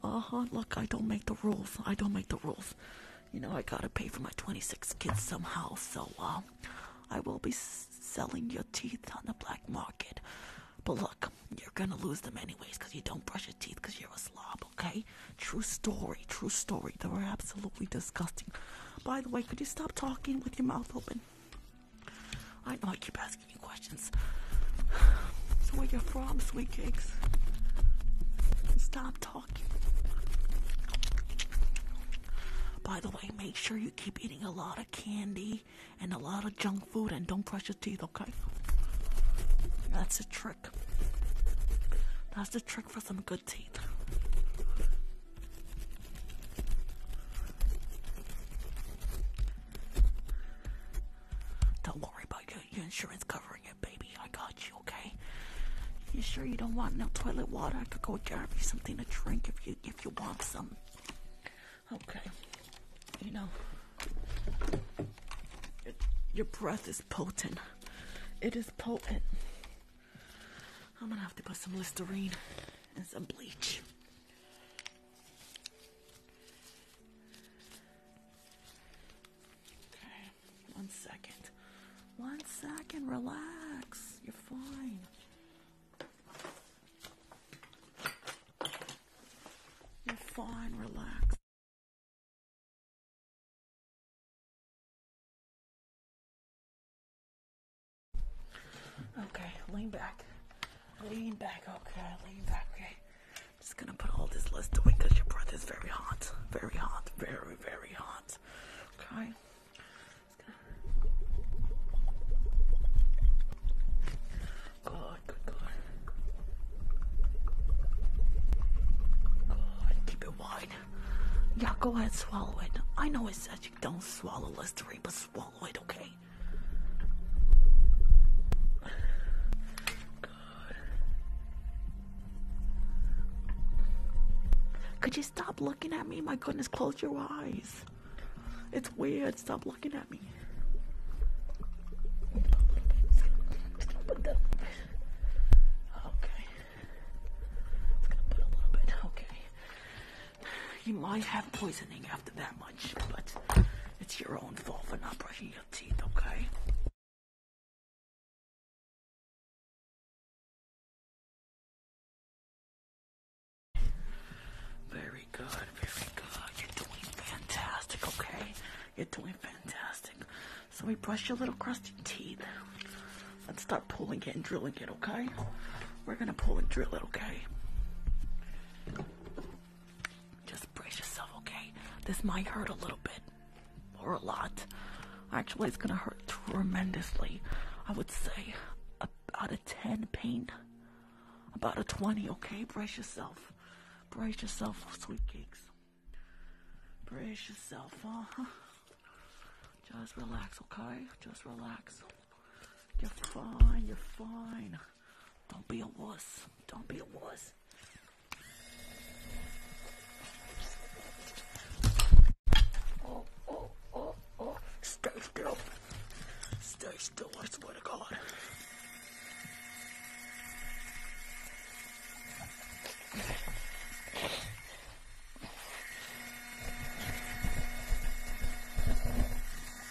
Uh huh. Look, I don't make the rules. I don't make the rules. You know, I gotta pay for my 26 kids somehow, so, uh, I will be selling your teeth on the black market. But look, you're gonna lose them anyways because you don't brush your teeth because you're a slob, okay? True story, true story. They were absolutely disgusting. By the way, could you stop talking with your mouth open? I know I keep asking you questions. So where you from, sweet cakes? Stop talking. By the way, make sure you keep eating a lot of candy and a lot of junk food and don't crush your teeth, okay? That's the trick. That's the trick for some good teeth. Don't worry about your, insurance covering it, baby. I got you, okay? You sure you don't want no toilet water? I could go grab you something to drink if you if you want some. Okay. You know, your breath is potent. It is potent. I'm gonna have to put some Listerine and some bleach. Okay, one second. One second, relax. You're fine. You're fine, relax. Okay, lean back. Lean back, okay, lean back, okay. I'm just gonna put all this list away because your breath is very hot. Very hot, very, very hot. Okay. Good, good, good. Good, keep it wide. Yeah, go ahead, swallow it. I know it says you don't swallow Listerine, but swallow okay? Good. Could you stop looking at me? My goodness, close your eyes. It's weird. Stop looking at me. Okay. You might have poisoning after that much, but it's your own fault for not brushing your teeth, okay? Very good, very good. You're doing fantastic, okay? You're doing fantastic. So we brush your little crusty teeth. Let's start pulling it and drilling it, okay? We're gonna pull and drill it, okay? Just brace yourself, okay? This might hurt a little bit, or a lot. Actually, it's gonna hurt tremendously. I would say about a 10 pain, about a 20, okay? Brace yourself. Brace yourself, sweetcakes. Brace yourself, uh-huh. Just relax, okay? Just relax. You're fine, you're fine. Don't be a wuss. Don't be a wuss. Oh, oh, oh, Stay still. Stay still, I swear to God.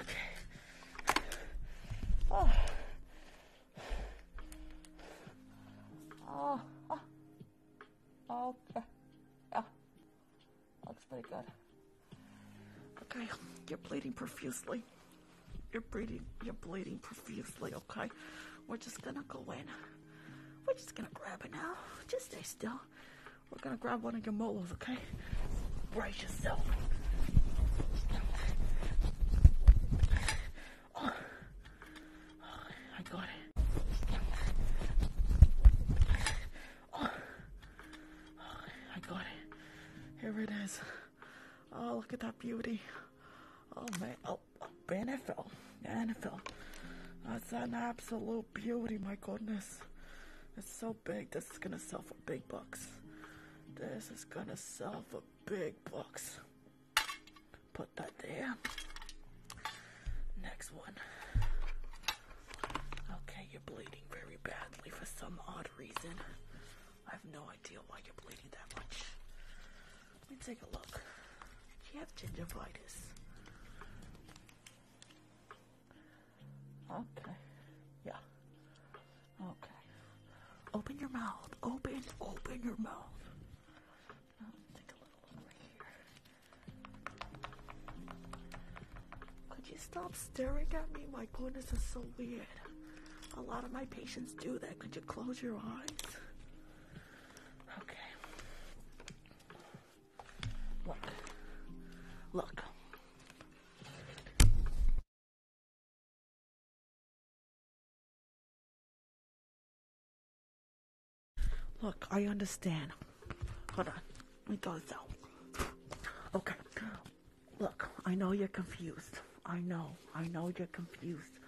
Okay. Oh. Oh. Okay. Yeah. Looks pretty good. Okay. You're bleeding profusely. You're bleeding. You're bleeding profusely. Okay. We're just gonna go in. We're just gonna grab it now. Just stay still. We're gonna grab one of your molos, okay? Brace yourself. Oh, I got it. Oh, I got it. Here it is. Oh, look at that beauty. Oh man, oh, oh NFL, NFL. That's an absolute beauty, my goodness. It's so big. This is gonna sell for big bucks. This is gonna sell for big bucks. Put that there. Next one. Okay, you're bleeding very badly for some odd reason. I have no idea why you're bleeding that much. Let me take a look. Do you have gingivitis? Okay. Yeah. Okay. Open your mouth. Open, open your mouth. Could you stop staring at me? My goodness, is so weird. A lot of my patients do that. Could you close your eyes? Okay. Look. Look. Look, I understand. Hold on. Let me throw this Okay. Look, I know you're confused. I know. I know you're confused.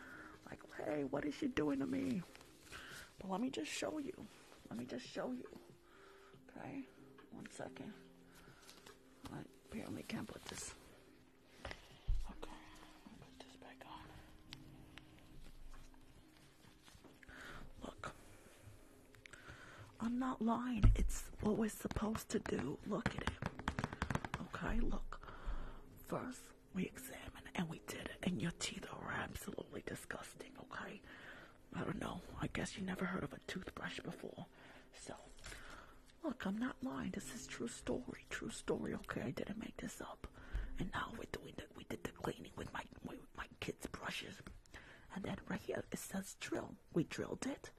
Like, hey, what is she doing to me? let me just show you. Let me just show you. Okay, one second. I apparently can't put this. Okay, put this back on. Look, I'm not lying. It's what we're supposed to do. Look at it. Okay, look. First, we examine and we did it, and your teeth are absolutely disgusting. Okay, I don't know. I guess you never heard of a toothbrush before. So, look, I'm not lying. This is true story. True story. Okay, I didn't make this up. And now we're doing the, we did the cleaning with my my kids' brushes. And then right here it says drill. We drilled it.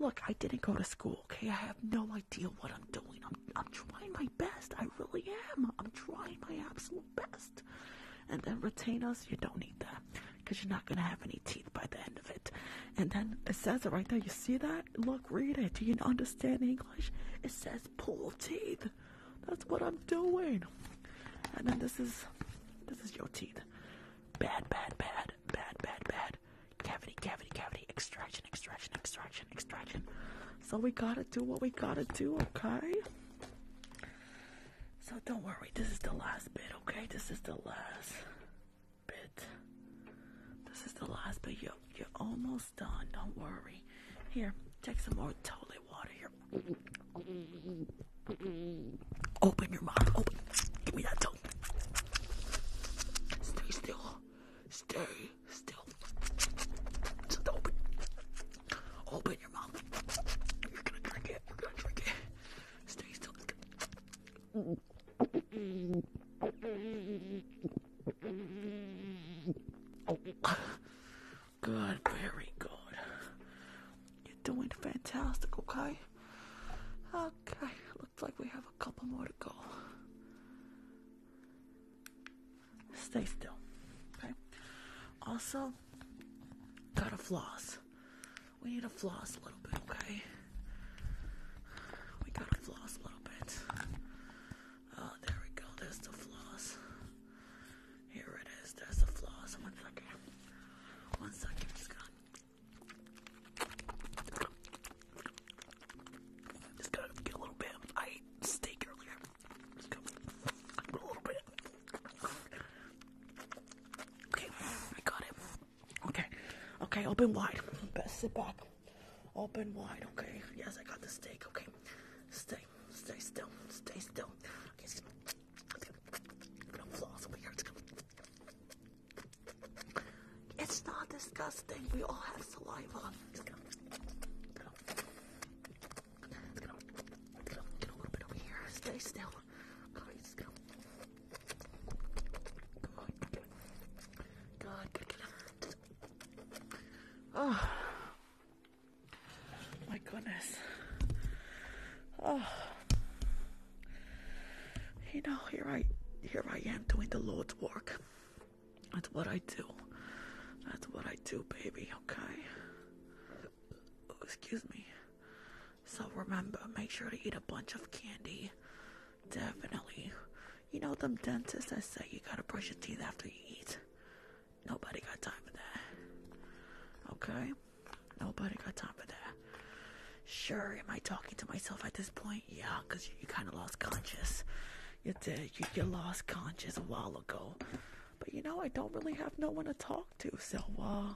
Look, I didn't go to school. Okay, I have no idea what I'm doing. I'm I'm trying my best. I really am. I'm trying my absolute best and then retainers you don't need them, because you're not going to have any teeth by the end of it and then it says it right there you see that look read it do you understand english it says pull teeth that's what i'm doing and then this is this is your teeth bad bad bad bad bad bad cavity cavity cavity extraction extraction extraction extraction so we gotta do what we gotta do okay so don't worry, this is the last bit, okay? This is the last bit. This is the last bit. You're, you're almost done, don't worry. Here, take some more toilet water here. Open your mouth, open. Give me that tongue. Stay still. Stay still. Just open. Open your mouth. You're gonna drink it. You're gonna drink it. Stay still. Oh. Good, very good. You're doing fantastic, okay? Okay, looks like we have a couple more to go. Stay still, okay? Also, got a floss. We need a floss a little bit, okay? We gotta floss a little bit. Oh, there we go. There's the floss. Here it is. There's the floss. One second. just gonna. get a little bit. I ate steak earlier. Just gonna. A little bit. Okay, I got it. Okay, okay, open wide. Better sit back. Open wide, okay. Yes, I got the steak, okay. Stay, stay still, stay still. It's not disgusting. We all have saliva. Just going get a little bit over here. Stay still. Alright, just gonna. Good. Oh. My goodness. Oh. You know, here I here I am doing the Lord's work. That's what I do. That's what I do, baby, okay? Oh, excuse me. So remember, make sure to eat a bunch of candy. Definitely. You know them dentists that say you gotta brush your teeth after you eat. Nobody got time for that. Okay? Nobody got time for that. Sure, am I talking to myself at this point? Yeah, because you, kind of lost conscious. You did. you lost conscious a while ago. But you know, I don't really have no one to talk to, so uh,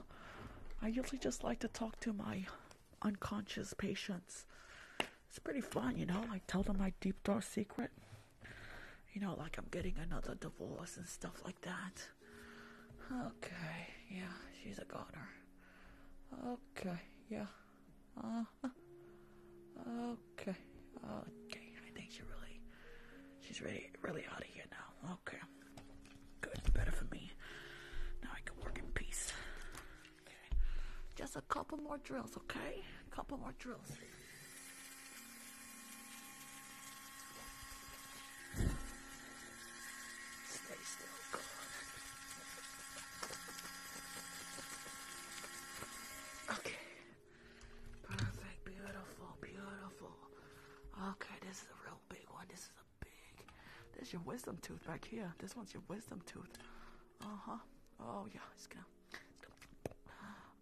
I usually just like to talk to my unconscious patients. It's pretty fun, you know. I tell them my deep dark secret. You know, like I'm getting another divorce and stuff like that. Okay, yeah, she's a goner. Okay, yeah. Uh-huh. okay, okay. I think she really, she's really, really out of here now. Okay. Good, better for me. Now I can work in peace. Just a couple more drills, okay? A couple more drills. Stay still, God. Okay. beautiful, beautiful. Okay, this is a real big one. This is a big. There's your wisdom tooth back here. This one's your wisdom tooth. Uh huh. Oh yeah, it's gonna.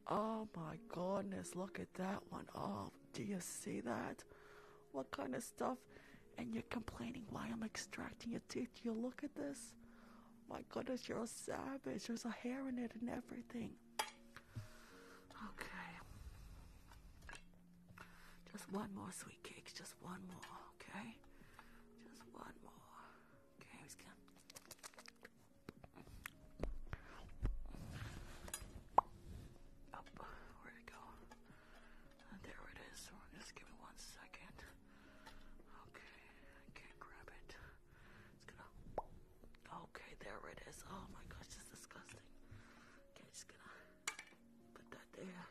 Oh my goodness, look at that one. Oh, do you see that? What kind of stuff? And you're complaining why I'm extracting your teeth. you look at this? My goodness, you're a savage. There's a hair in it and everything. Okay. Just one more sweet cake. Just one more, okay? Just one more. Okay, oh, Where'd it go? Uh, there it is. Just give me one second. Okay, can't grab it. It's gonna. Okay, there it is. Oh my gosh, it's disgusting. Okay, just gonna put that there.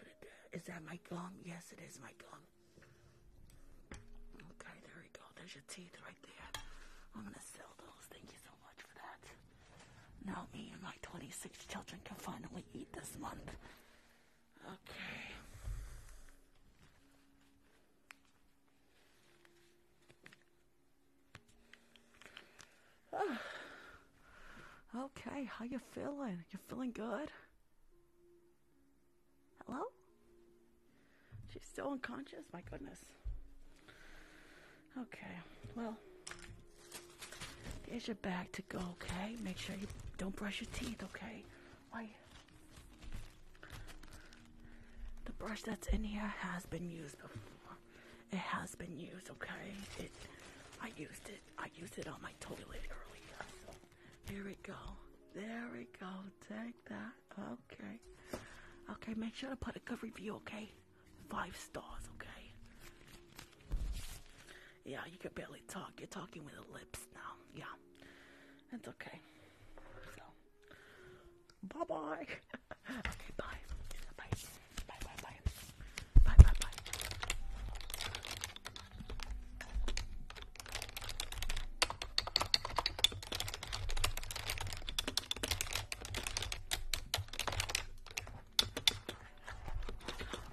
put it there. Is that my gum? Yes, it is my gum. Okay, there we go. There's your teeth right there. I'm gonna sell those. Thank you so much for that. Now me and my 26 children can finally eat this month. Okay. [sighs] Okay, how you feeling? You feeling good? Hello? She's still unconscious? My goodness. Okay, well, there's your bag to go, okay? Make sure you don't brush your teeth, okay? Why? The brush that's in here has been used before. It has been used, okay? It, I used it. I used it on my toilet earlier. So here we go. There we go. Take that. Okay. Okay, make sure to put a good review, okay? Five stars, okay? Yeah, you can barely talk. You're talking with the lips now. Yeah. That's okay. bye bye. [laughs] okay, bye. Bye. Bye. Bye. Bye. Bye. Bye.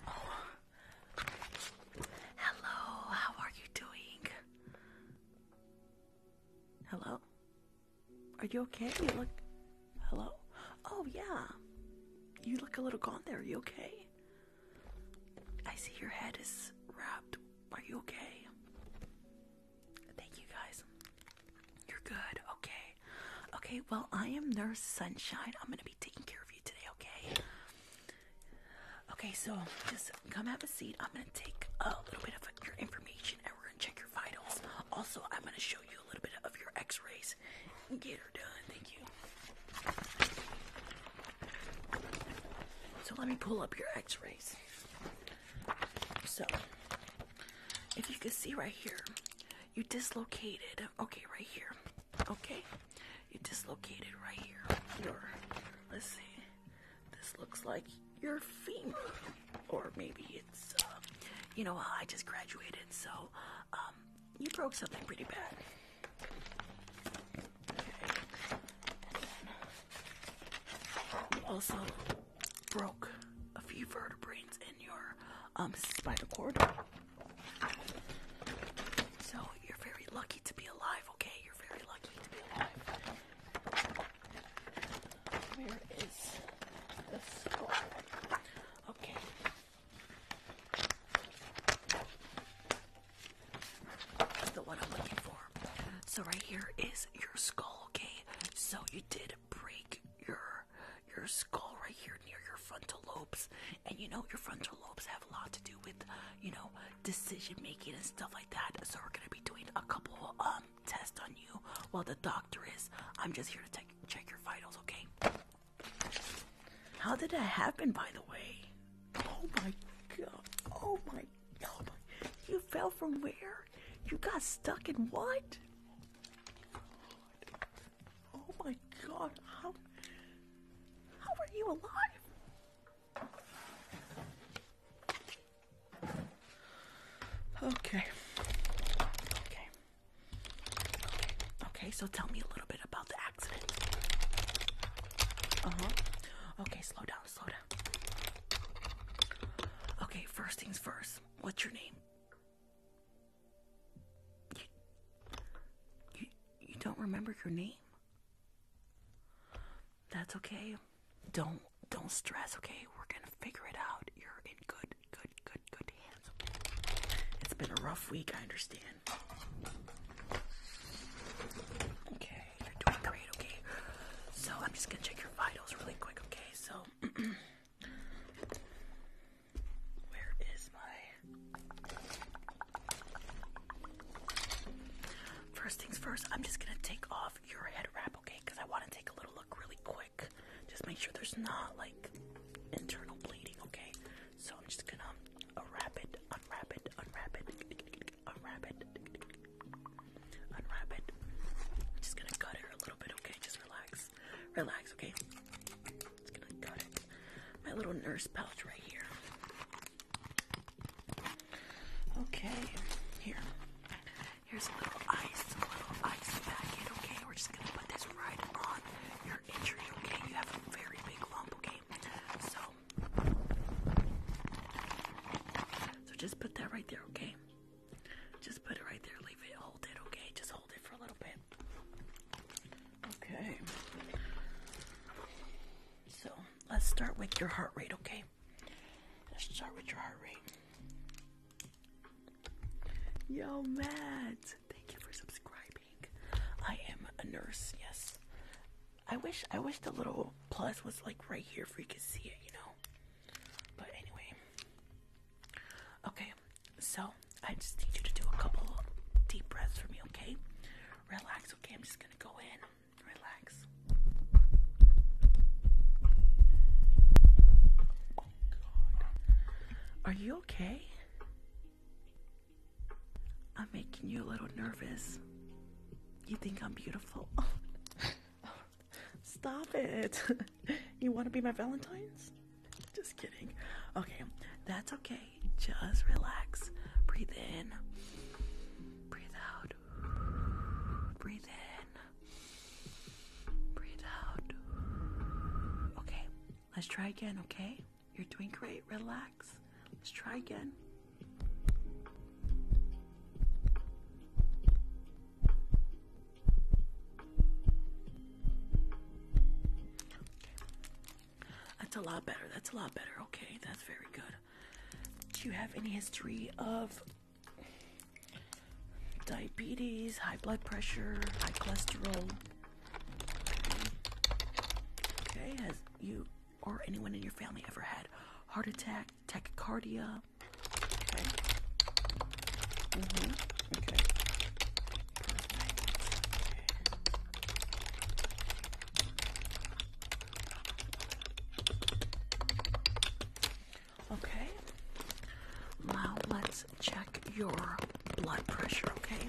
Oh. Hello, how are you doing? Hello? Are you okay? You look. Hello? Oh, yeah. You look a little gone there. Are you okay? I see your head is wrapped. Are you okay? Thank you, guys. You're good. Okay. Okay, well, I am Nurse Sunshine. I'm going to be taking care of you today, okay? Okay, so just come have a seat. I'm gonna take a little bit of your information and we're gonna check your vitals. Also, I'm gonna show you a little bit of your x-rays. Get her done, thank you. So let me pull up your x-rays. So if you can see right here, you dislocated okay right here. Okay, you dislocated right here. Your, let's see, this looks like your femur, or maybe it's, uh, you know, I just graduated, so um, you broke something pretty bad. also broke a few vertebrae in your um, spinal cord. So you're very lucky okay? You're very lucky to be alive. Where is the skull? Okay. So right here is your skull, okay? So you did break your your skull right here near your frontal lobes. And you know your frontal lobes have a lot to do with, you know, decision making and stuff like that. So we're gonna be doing a couple um tests on you while the doctor is. I'm just here to check your vitals, okay? How did that happen, by the way? Oh my god! Oh my! Oh You fell from where? You got stuck in what? Oh my god! How? How are you alive? Okay. Okay. Okay. so tell me a little bit about the accident. Uh-huh. Okay, slow down, slow down. Okay, first things first. What's your name? you, you don't remember your name? That's okay. Don't don't stress, okay? We're gonna figure it out. You're in good, good, good, good hands. It's been a rough week, I understand. Okay, you're doing great, okay? So I'm just gonna check your vitals really quick, okay? So [clears throat] where is my First things first, I'm just gonna take off your head wrap, okay? Because I want to take a little look really quick. Just make sure there's not like internal bleeding, okay? So I'm just gonna unwrap it, unwrap it, unwrap it, unwrap it, unwrap it. I'm just gonna cut her a little bit, okay? Just relax, relax, okay? Just gonna cut it. My little nurse pouch right here. Okay, here. Here's a little ice, a little ice packet, okay? We're just gonna put this right on your injury, okay? You have a very big lump, okay? So, so just put that right there, okay? Just put it right there, leave it, hold it, okay? Just hold it for a little bit. Okay. So, let's start with your heart rate, okay? Let's start with your heart rate. Yo, Matt, thank you for subscribing. I am a nurse, yes. I wish I wish the little plus was like right here for you could see it, you know. But anyway. Okay, so I just need you to do a couple deep breaths for me, okay? Relax, okay? I'm just gonna go in. Relax. Are you okay? I'm making you a little nervous. You think I'm beautiful? [laughs] Stop it. [laughs] you want to be my Valentine's? Just kidding. Okay, that's okay. Just relax. Breathe in. Breathe out. Breathe in. Breathe out. Okay, let's try again, okay? You're doing great. Relax. Let's try again. That's a lot better. That's a lot better. Okay, that's very good. Do you have any history of diabetes, high blood pressure, high cholesterol? Okay, has you or anyone in your family ever had heart attack, tachycardia? Okay. Mm-hmm, Okay. Now let's check your blood pressure, okay?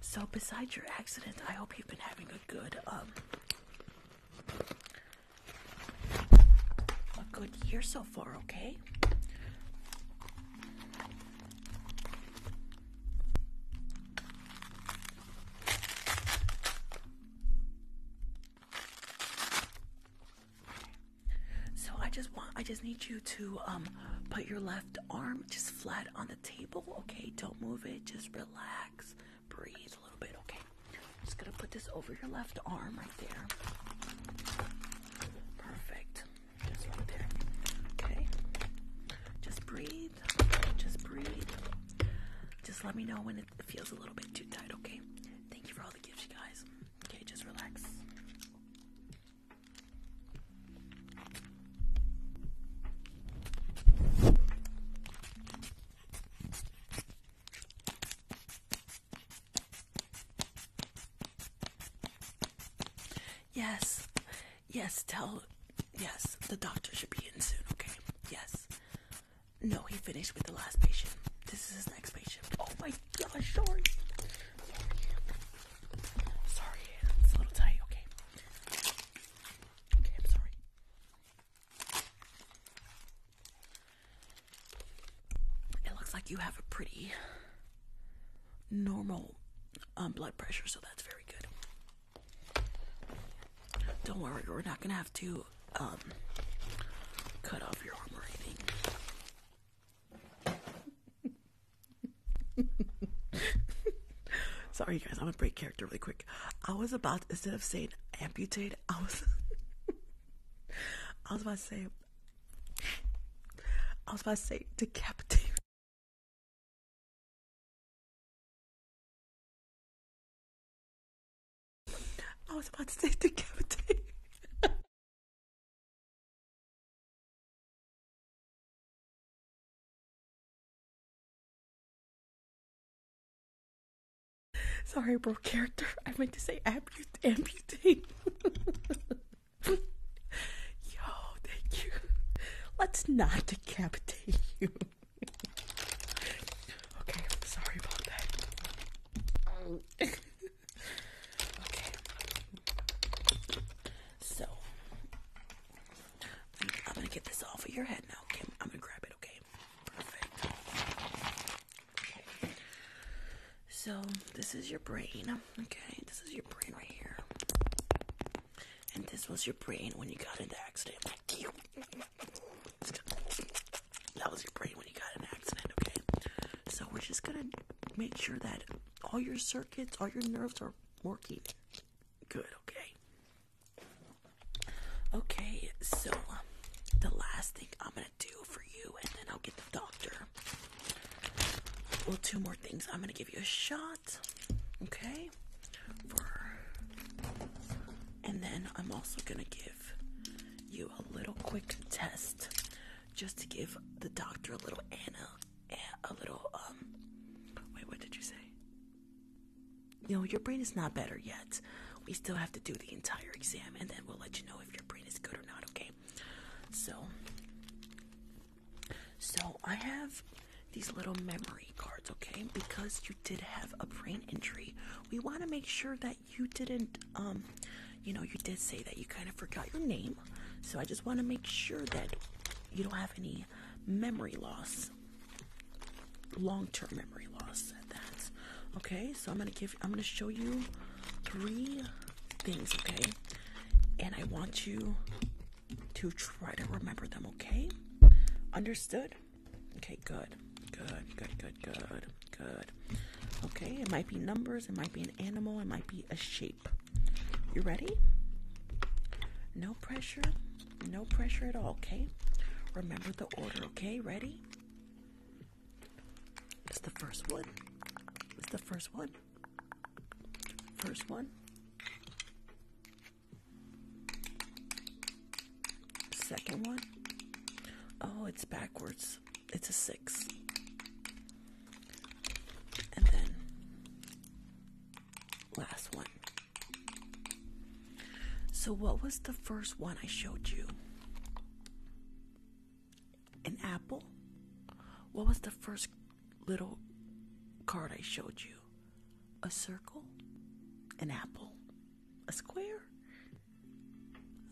So besides your accident, I hope you've been having a good um a good year so far, okay? So I just want I just need you to um put your left arm just flat on the table, okay? Don't move it, just relax, breathe a little bit, okay? just gonna put this over your left arm right there. Perfect. Just Okay. Just breathe. Just breathe. Just let me know when it feels a little bit too tight, okay? Thank you for all the gifts, you guys. Okay, just relax. Yes, Yes, tell. Yes, the doctor should be in soon, okay? Yes. No, he finished with the last patient. This is his next patient. Oh my gosh, sorry. Sorry, it's a little tight, okay? Okay, I'm sorry. It looks like you have a pretty normal um, blood pressure, so that's very good. Don't worry, we're not gonna have to um, cut off your arm [laughs] Sorry, guys, I'm gonna break character really quick. I was about instead of saying amputate, I was [laughs] I was about to say I was about to say decapitate. I was about to say the cavity. Sorry, bro, character. I meant to say amputate. [laughs] Yo, thank you. Let's not decapitate you. [laughs] okay, sorry about that. Um, [laughs] okay. So I'm gonna get this off of your head now, Kim. I'm gonna grab it, okay? Perfect. Okay. So this is your brain. Okay, this is your brain right here. And this was your brain when you got in the accident. That was your brain when you got in accident, okay? So we're just gonna make sure that all your circuits, all your nerves are working good, okay? Okay, so um, the last thing I'm gonna do for you, and then I'll get the doctor. Well, two more things. I'm gonna give you a shot. Okay? and then I'm also gonna give you a little quick test just to give the doctor a little Anna a little um wait what did you say? No, your brain is not better yet. We still have to do the entire exam and then we'll let you know if your brain is good or not, okay? So so I have these little memory cards, okay? Because you did have a brain injury, we want to make sure that you didn't, um, you know, you did say that you kind of forgot your name. So I just want to make sure that you don't have any memory loss, long term memory loss at Okay, so I'm gonna give, I'm gonna show you three things, okay? And I want you to try to remember them, okay? Understood? Okay, good. Good, good, good, good, good. Okay, it might be numbers, it might be an animal, it might be a shape. You ready? No pressure, no pressure at all, okay? Remember the order, okay? Ready? It's the first one. It's the first one. First one. Second one. Oh, it's backwards. It's a six. And then last one. So, what was the first one I showed you? An apple? What was the first little card I showed you a circle, an apple, a square.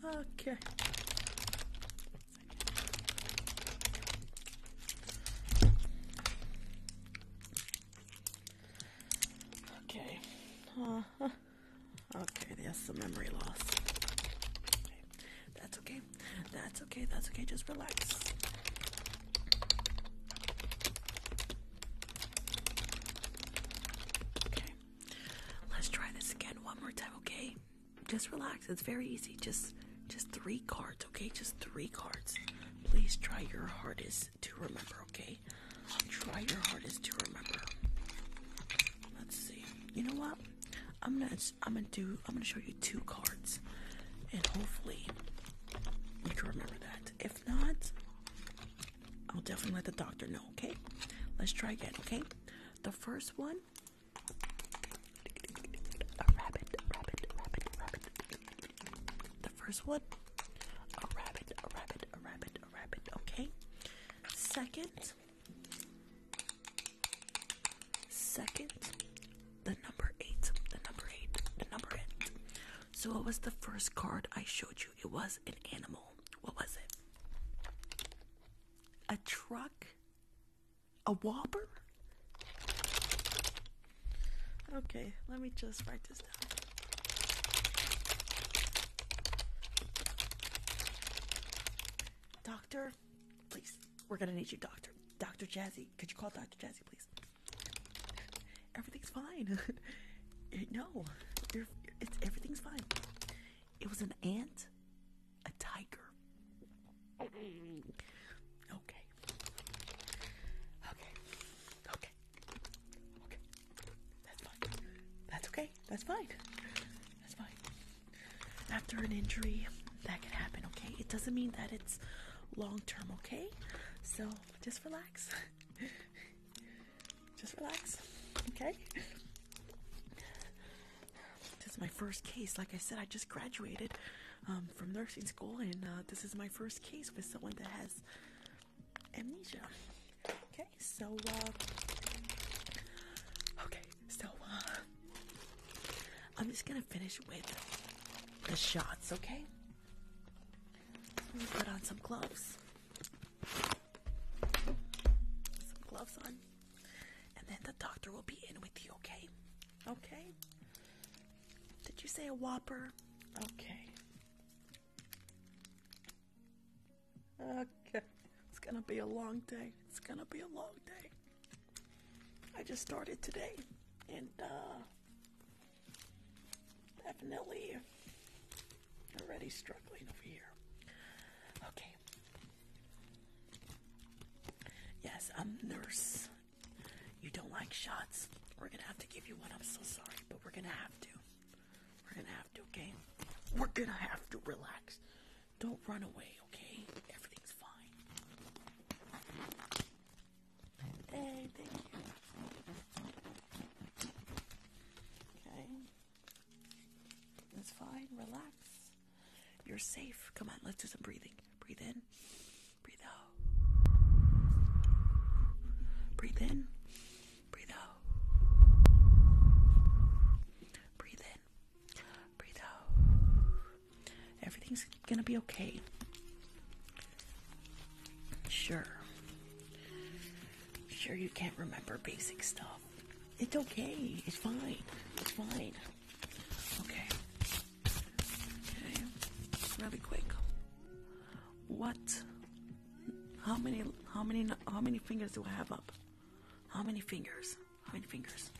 Okay. Okay. Uh-huh. Okay, there's some memory loss. That's Okay. That's okay okay. That's okay. Just relax. Okay. Let's try this again one more time, okay? Just relax. It's very easy. Just just three cards, okay? Just three cards. Please try your hardest to remember, okay? Try your hardest to remember. Let's see. You know what? I'm gonna I'm gonna do I'm gonna show you two cards, and hopefully you can remember that. If not, I'll definitely let the doctor know, okay? Let's try again, okay? The first one a rabbit, rabbit, rabbit, rabbit. The first one a rabbit, a rabbit, a rabbit, a rabbit, okay? Second Second, the number eight, the number eight, the number eight. So what was the first card I showed you? It was an animal. What was it? A truck? A whopper? Okay, let me just write this down. Doctor, please. We're gonna need you, Doctor. Doctor Jazzy. Could you call Doctor Jazzy, please? everything's fine. [laughs] Eh, no, it's everything's fine. It was an ant, a tiger. Okay. Okay. Okay. Okay. That's fine. That's okay. That's fine. That's fine. After an injury, that can happen, okay? It doesn't mean that it's long term, okay? So just relax. [laughs] just relax. Okay? This is my first case. Like I said, I just graduated um, from nursing school, and uh, this is my first case with someone that has amnesia. Okay, so, uh, okay, so, uh, I'm just gonna finish with the shots, okay? Let me put on some gloves. Some gloves on. And then the doctor will be in with you, okay? Okay? Did you say a whopper? Okay. Okay. It's gonna be a long day. It's gonna be a long day. I just started today, and uh, Definitely already struggling over here. Okay. Yes, I'm nurse. You don't like shots. We're gonna have to give you one. I'm so sorry, but we're gonna have to. We're gonna have to, okay? We're gonna have to relax. Don't run away, okay? Everything's fine. Hey, Okay. That's fine. Relax. You're safe. Come on, let's do some breathing. Breathe in. Breathe out. Breathe in. Breathe out. Breathe in. Breathe out. Everything's gonna be okay. Sure. Sure, you can't remember basic stuff. It's okay. It's fine. It's fine. Okay. Okay. Really quick. What? How many? How many? How many fingers do I have up? How many fingers? How many fingers?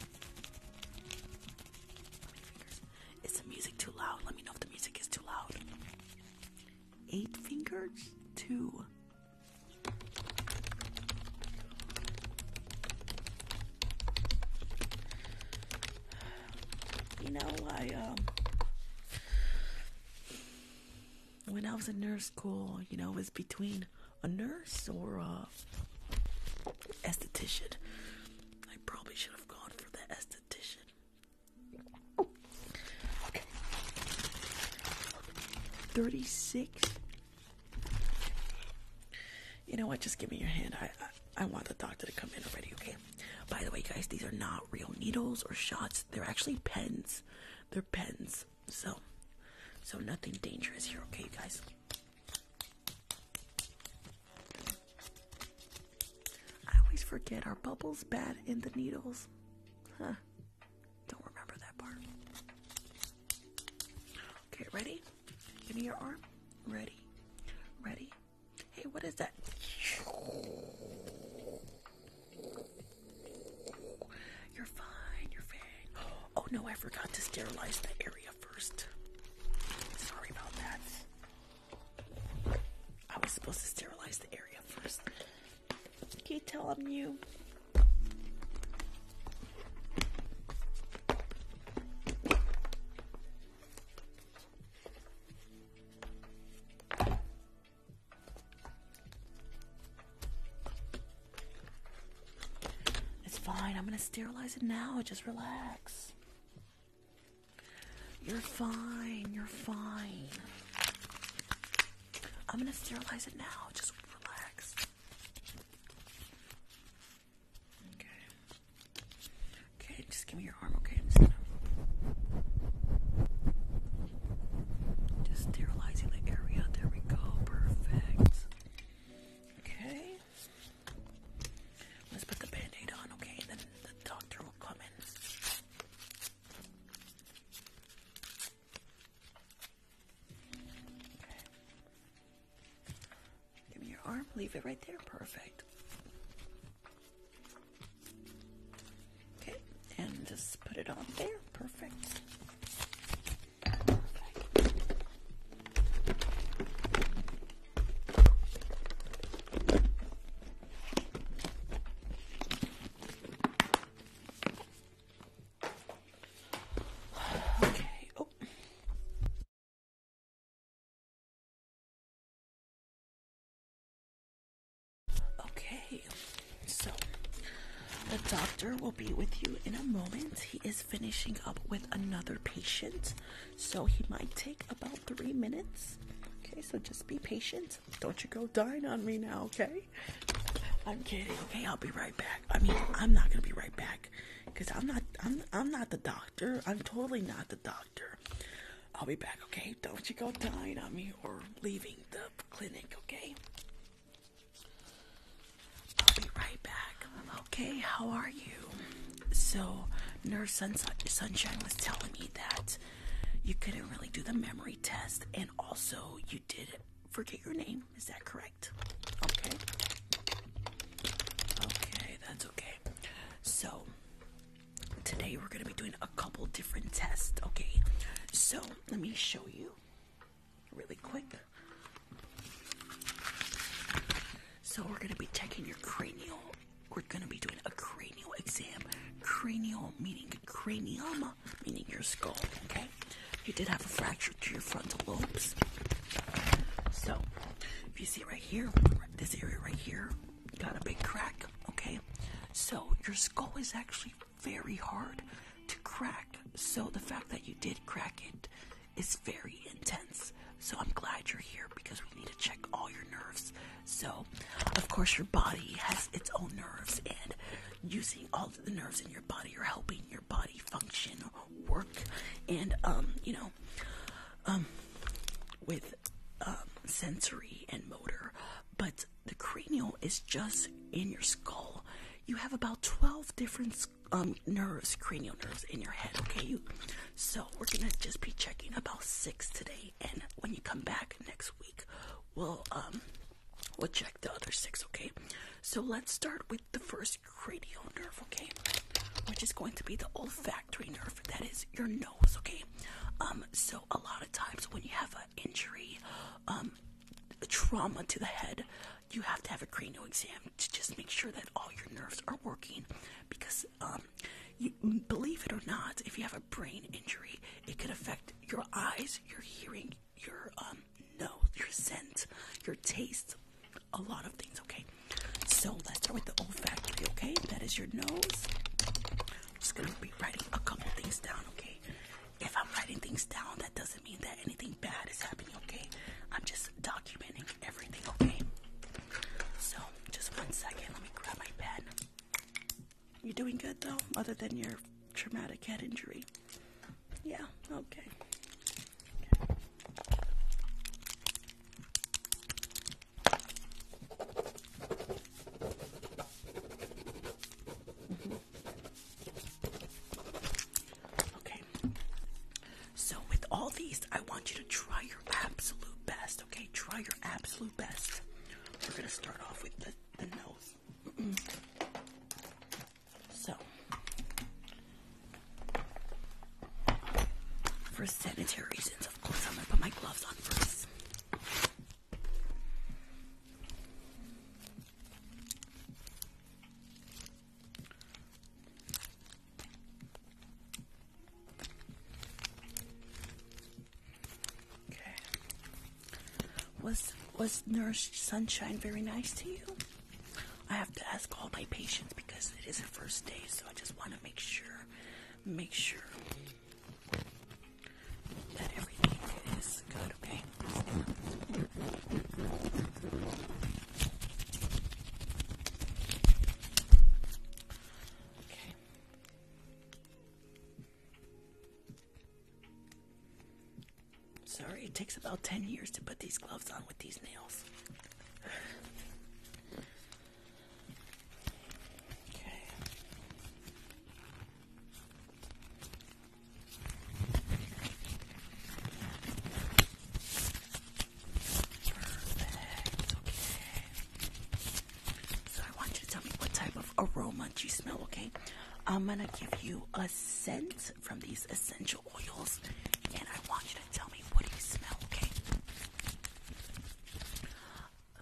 Is the music too loud? Let me know if the music is too loud. Eight fingers? Two. You know, I, um, when I was in nurse school, you know, it was between a nurse or a esthetician. I probably should have gone for the esthetician. Thirty-six. You know what? Just give me your hand. I I want the doctor to come in already. Okay. By the way, guys, these are not real needles or shots. They're actually pens. They're pens. So, so nothing dangerous here. Okay, guys. I always forget our bubbles bad in the needles. Huh. Don't remember that part. Okay, ready? Give me your arm. Ready. Ready. Hey, what is that? You're fine, you're fine. Oh no, I forgot to sterilize the area first. Sorry about that. I was supposed to sterilize the area first. Can Can't tell them you. It's fine. I'm going to sterilize it now. Just relax. You're fine. You're fine. I'm going to sterilize it now. Just relax. Okay. Okay, just give me your arm, okay? just sterilizing the area. There we go. Perfect. Okay. Let's put the band on, okay? the doctor will come in. Give me your arm, leave it right there. Perfect. Okay, and just put it on there. Perfect. Okay. Oh. Okay. So the doctor will be with you in a moment. He is finishing up with another patient, so he might take about three minutes. Okay, so just be patient. Don't you go dying on me now, okay? I'm kidding. Okay, I'll be right back. I mean, I'm not gonna be right back because I'm not. I'm. not the doctor. I'm totally not the doctor. I'll be back. Okay, don't you go dying on me or leaving the clinic. Okay. I'll be right back. Okay, how are you? So, Nurse Sunshine was telling me that you couldn't really do the memory test, and also you did forget your name. Is that correct? Okay. Okay, that's okay. So today we're gonna be doing a couple different tests. Okay. So let me show you really quick. So we're gonna be taking your cranial we're going to be doing a cranial exam. Cranial meaning cranium, meaning your skull, okay? You did have a fracture to your frontal lobes. So, if you see right here, this area right here, got a big crack, okay? So, your skull is actually very hard to crack. So, the fact that you did crack it is very intense. So, I'm glad you're here because we need to check all your nerves so, of course, your body has its own nerves, and using all the nerves in your body are helping your body function, work, and um, you know, um, with um, sensory and motor. But the cranial is just in your skull. You have about twelve different um, nerves, cranial nerves in your head. Okay, you. So we're gonna just be checking about six today and when you come back next week, we'll um we'll check the other six. Okay, so let's start with the first cranial nerve. Okay, which is going to be the olfactory nerve. That is your nose. Okay, um, so a lot of times when you have an injury, um, trauma to the head, you have to have a cranial exam to just make sure that all your nerves are working, because um, believe it or not, if you have a brain injury, it could affect your eyes, your hearing, your um nose, your scent, your taste, a lot of things, okay? So let's start with the olfactory, okay? That is your nose. I'm just gonna be writing a couple things down, okay? If I'm writing things down, that doesn't mean that anything bad is happening, okay? I'm just documenting everything, okay? So, just one second, let me grab my pen. You're doing good though, other than your traumatic head injury. Yeah, okay. okay. So, with all these, I want you to try absolute best, okay? Try your absolute best. We're gonna start off with the, the nose. [clears throat] so, for sanitary reasons, of course, I'm gonna put my gloves on first. Okay. Was was Nurse Sunshine very nice to you? I have to ask all my patients because it is her first day, so I just want to make sure, make sure that everything is good. Okay. Sorry, it takes about 10 years to put these gloves on with these nails. Okay. So I want you to tell me what type of aroma you smell, okay? I'm gonna give you a scent from these essential oils, and I want you to tell me what do you smell, okay?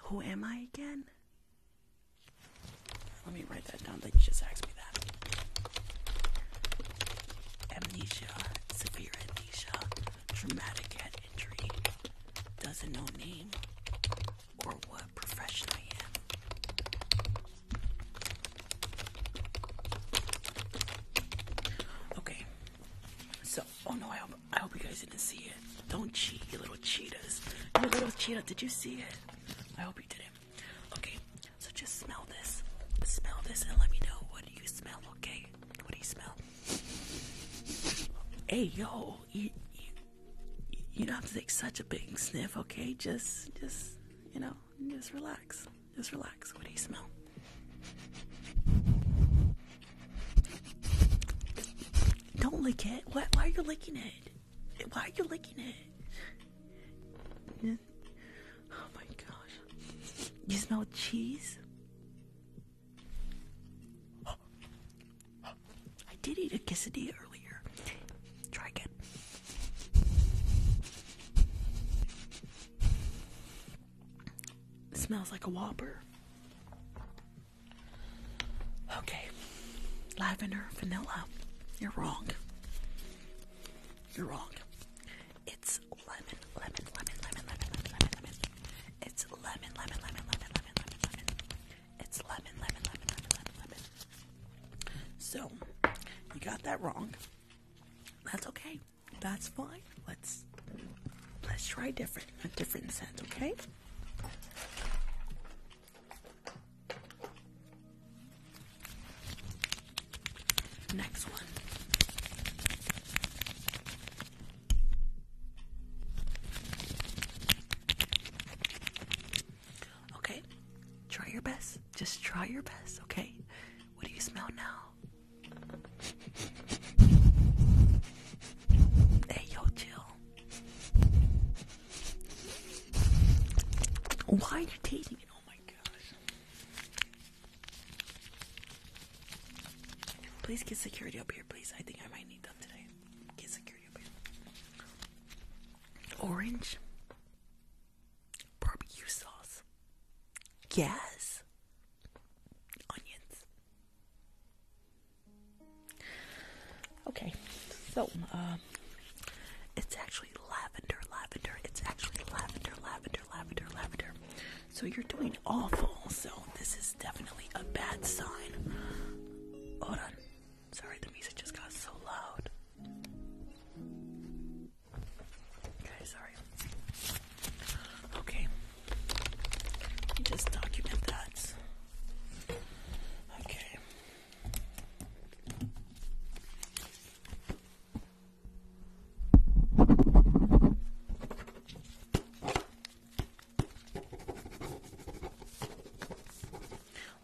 Who am I again? Let me write that down. They just asked me that. Amnesia, severe amnesia, traumatic head injury doesn't know name or what profession I am. Okay, so oh no, I hope I hope you guys didn't see it. Don't cheat, you little cheetahs. You little cheetah, did you see it? I hope you didn't. Okay, so just smell this. Smell this and let me know what do you smell, okay? What do you smell? Hey yo, you, don't have to take such a big sniff, okay? Just, just, you know, just relax. Just relax. What do you smell? Don't lick it. Why, why are you licking it? Why are you licking it? Oh my gosh. You smell cheese? I did eat a quesadilla earlier. Try again. smells like a whopper. Okay. Lavender, vanilla. You're wrong. You're wrong. It's lemon, lemon, lemon, lemon, lemon, lemon, lemon, lemon. It's lemon, lemon, lemon, lemon, lemon, lemon, lemon. It's lemon, lemon, lemon, lemon, lemon, So, you got that wrong. That's okay. That's fine. Let's let's try different a different scent, okay? Next one. Okay, try your best. Just try your best, okay? What do you smell now? [laughs] Hey, yo, chill. Why are you tasting it? Oh my gosh. Please get security up here, please. I think I might need them today. Orange barbecue sauce. Yes. Onions. Okay, so um, it's actually lavender, lavender. It's actually lavender, lavender, lavender, lavender. So you're doing awful. So this is that's definitely a bad sign. Hold on. Sorry, the music just got so loud. Okay, just document that. Okay.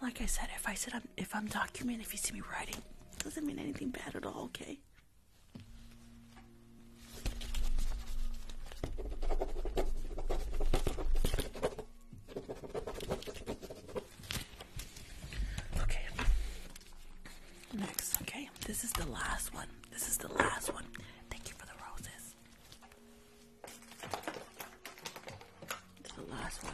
Like I said, if I said I'm if I'm documenting, if you see me writing, doesn't mean anything bad at all, okay? Okay. Next, okay? This is the last one. This is the last one. Thank you for the roses to the last one.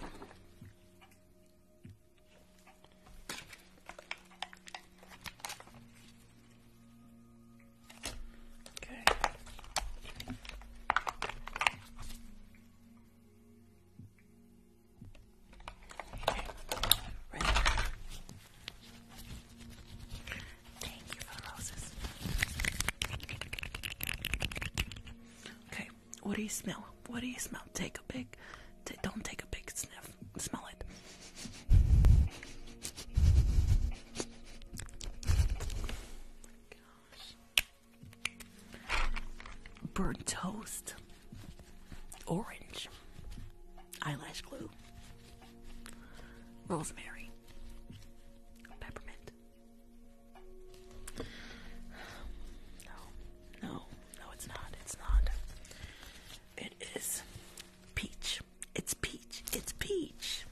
Okay. Okay. Right. Okay, what do you smell? What do you smell? Take a big, don't take a big sniff. Smell it. Gosh. Burnt toast, orange, eyelash glue, rosemary, Peppermint. No, no, no, it's not. It's not. It is peach. It's peach. It's peach.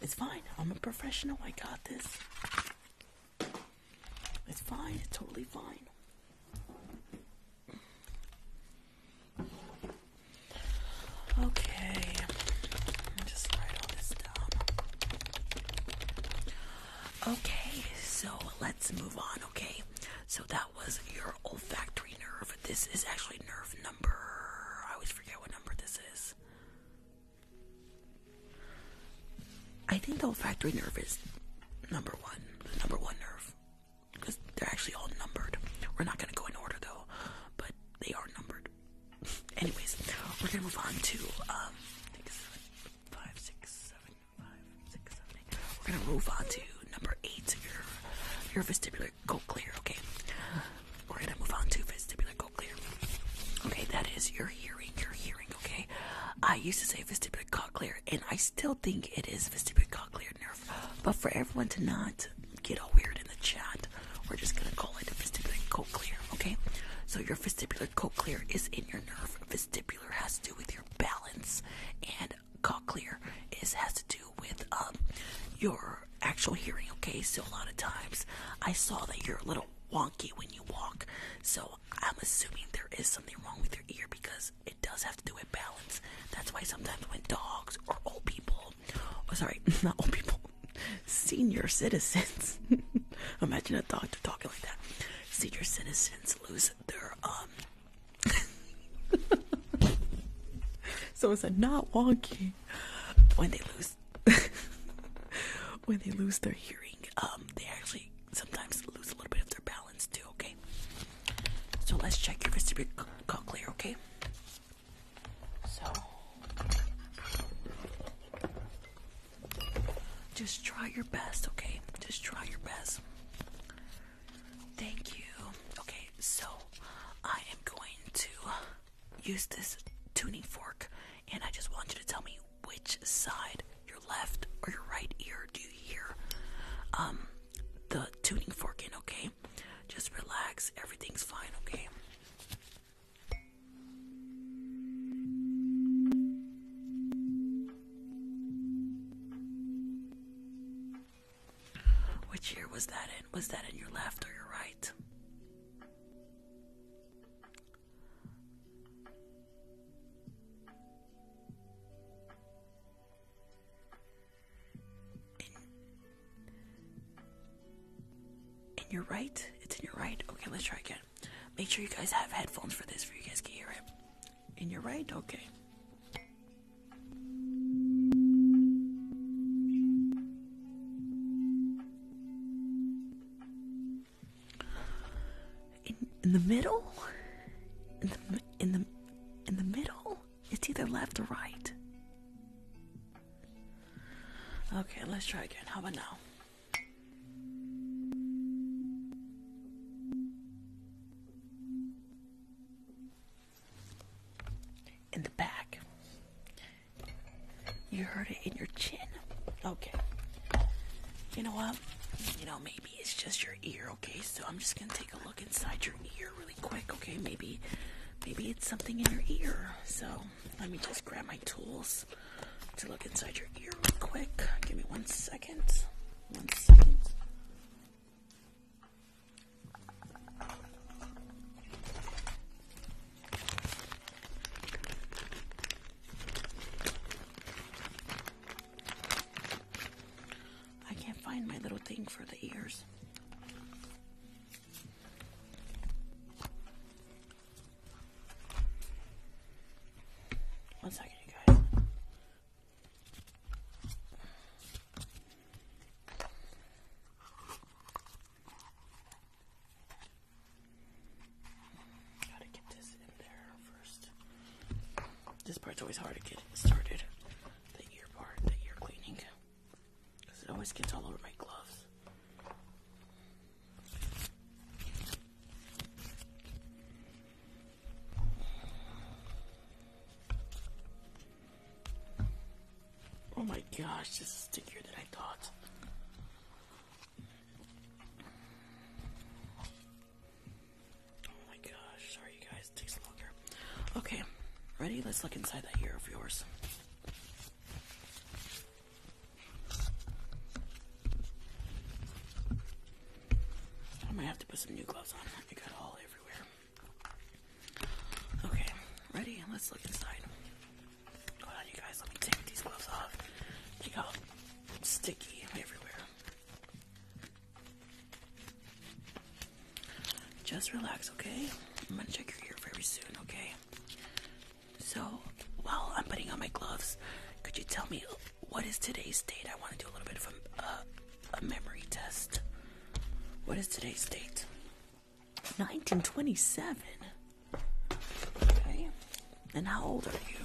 It's fine. I'm a professional. I got this. It's fine. It's totally fine. Okay, just write all this down. Okay, so let's move on, okay? So that was your olfactory nerve. This is actually nerve number. I always forget what number this is. I think the olfactory nerve is number one, number one nerve because they're actually all numbered. We're not gonna go in order though, but they are numbered. [laughs] Anyways, we're gonna move on to um, six, seven, five, six, seven, eight. We're gonna move on to number eight. Your your vestibular cochlear. Okay, we're gonna move on to vestibular cochlear. Okay, that is your hearing. Your hearing. Okay, I used to say vestibular cochlear, and I still think it is vestibular cochlear nerve but for everyone to not get all weird in the chat, we're just gonna call it vestibular cochlear, okay? So your vestibular cochlear is in your nerve. Vestibular has to do with your balance, and cochlear is has to do with um your actual hearing, okay? So a lot of times I saw that you're a little wonky when you walk, so I'm assuming there is something wrong with your ear because it does have to do with balance. That's why sometimes when dogs or old people, oh, sorry, [laughs] not old people, senior citizens, [laughs] imagine a doctor talking like that, senior citizens lose their, um, [laughs] so it's a not wonky when they lose, when they lose their hearing, um, they actually sometimes lose a little bit of their balance okay? So let's check your vestibular cochlear, okay? So just try your best, okay? Just try your best. Thank you. Okay, so I am going to use this tuning fork and I just want you to tell me which side, your left or your right ear, do you hear? Um the tuning fork in, okay? Just relax, everything's fine, okay? Which ear was that in? Was that in your left or your right? in, your right? It's in your right? Okay, let's try again. Make sure you guys have headphones for this, for you guys can hear it. In your right? Okay. In, in the middle? In the, in the, in the middle? It's either left or right. Okay, let's try again. How about now? In the back. You heard it in your chin. Okay. You know what? You know me maybe it's just your ear, okay? So I'm just gonna take a look inside your ear really quick, okay? Maybe maybe it's something in your ear. So let me just grab my tools to look inside your ear real quick. Give me one second. One second. I can't find my little thing for the ears. One second, you guys. Gotta get this in there first. This part's always hard to get started the ear part that you're cleaning because it always gets all over my gloves. Oh my gosh, this is stickier than I thought. Oh my gosh, sorry you guys, it takes longer. Okay, ready? Let's look inside that ear of yours. I might have to put some new gloves on. It got all everywhere. Okay, ready? Let's look inside. Hold on, you guys. Let me take these gloves off. They got sticky everywhere. Just relax, okay? I'm gonna check your ear very soon, okay? So, while I'm putting on my gloves, could you tell me what is today's date? I want to do a little bit of uh, a, memory test. What is today's date? 1927. Okay. And how old are you?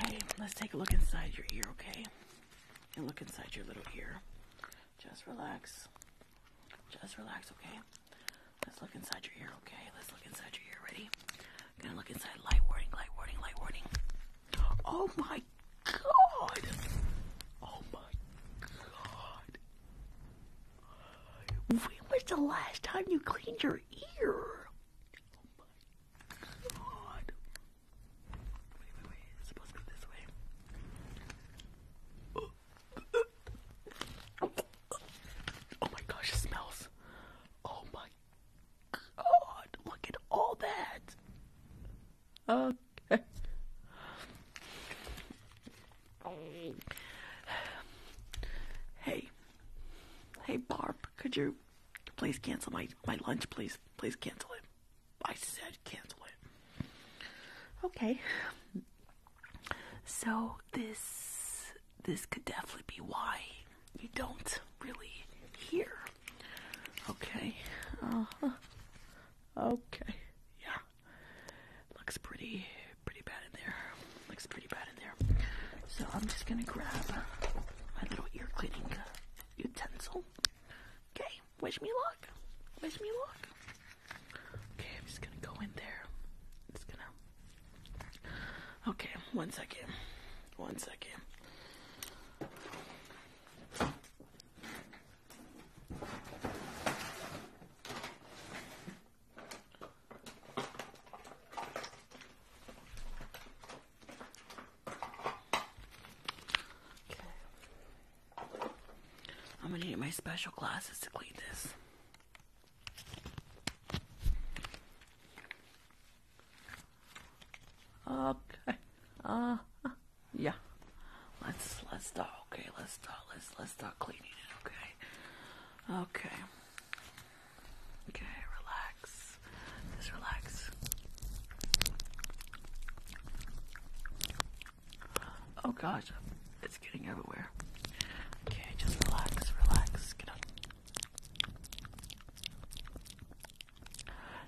Okay, let's take a look inside your ear, okay? And look inside your little ear. Just relax. Just relax, okay? Let's look inside your ear, okay? Let's look inside your ear. Ready? Gonna look inside. Light warning, light warning, light warning. Oh my god! Oh my god! When was the last time you cleaned your ear? Oh my god. Wait, wait, wait. It's supposed to be this way. Oh, oh, oh. oh my gosh, it smells. Oh my God, look at all that. Okay. Hey. Hey, Barb, could you please cancel my, my lunch, please? Please cancel it. I said cancel it. Okay. So, this this could definitely be why you don't really hear. Okay. Uh-huh. Okay. Yeah. Looks pretty, pretty bad in there. Looks pretty bad in there. So I'm just gonna grab my little ear cleaning utensil. Okay. Wish me luck. Wish me luck. Okay. I'm just gonna go in there. just gonna Okay, one second. One second. I'm gonna need my special glasses to clean this. Okay. Uh, yeah. Let's let's start. Okay, let's start. Let's let's start cleaning it. Okay. Okay. Okay. Relax. Just relax. Oh gosh, it's getting everywhere. Okay, just relax, relax. Get up.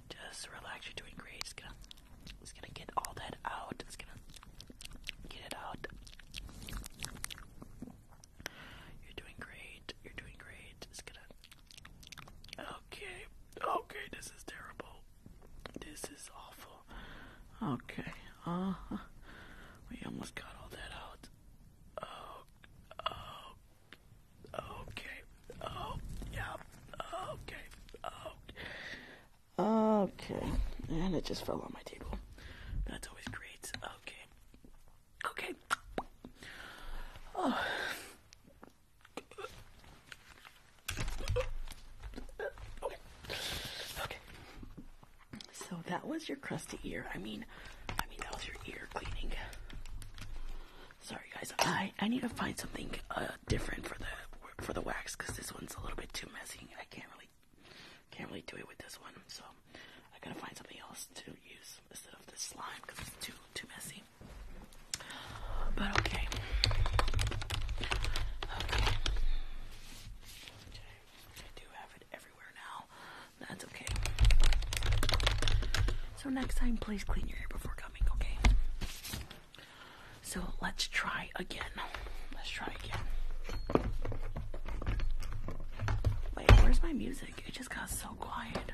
Just relax, you're doing great. It's gonna, it's gonna get all that out. It's gonna get it out. You're doing great. You're doing great. It's gonna. Okay. Okay. This is terrible. This is awful. Okay. Uh. We almost got all that out. Oh. oh Okay. Oh, yeah. Okay. Okay. And it just fell on my table. That's always great. Okay. Okay. Oh. Okay. Okay. So that was your crusty ear. I mean, I mean, that was your ear cleaning. Sorry, guys. I I need to find something uh, different for the for the wax because this one's a little bit too messy. I can't really can't really do it with this one. So I gotta find something else to use instead of this slime because it's too too messy. But okay. Okay. I do have it everywhere now. That's okay. So next time, please clean your hair before coming, okay? So let's try again. Let's try again. Wait, where's my music? It just got so quiet.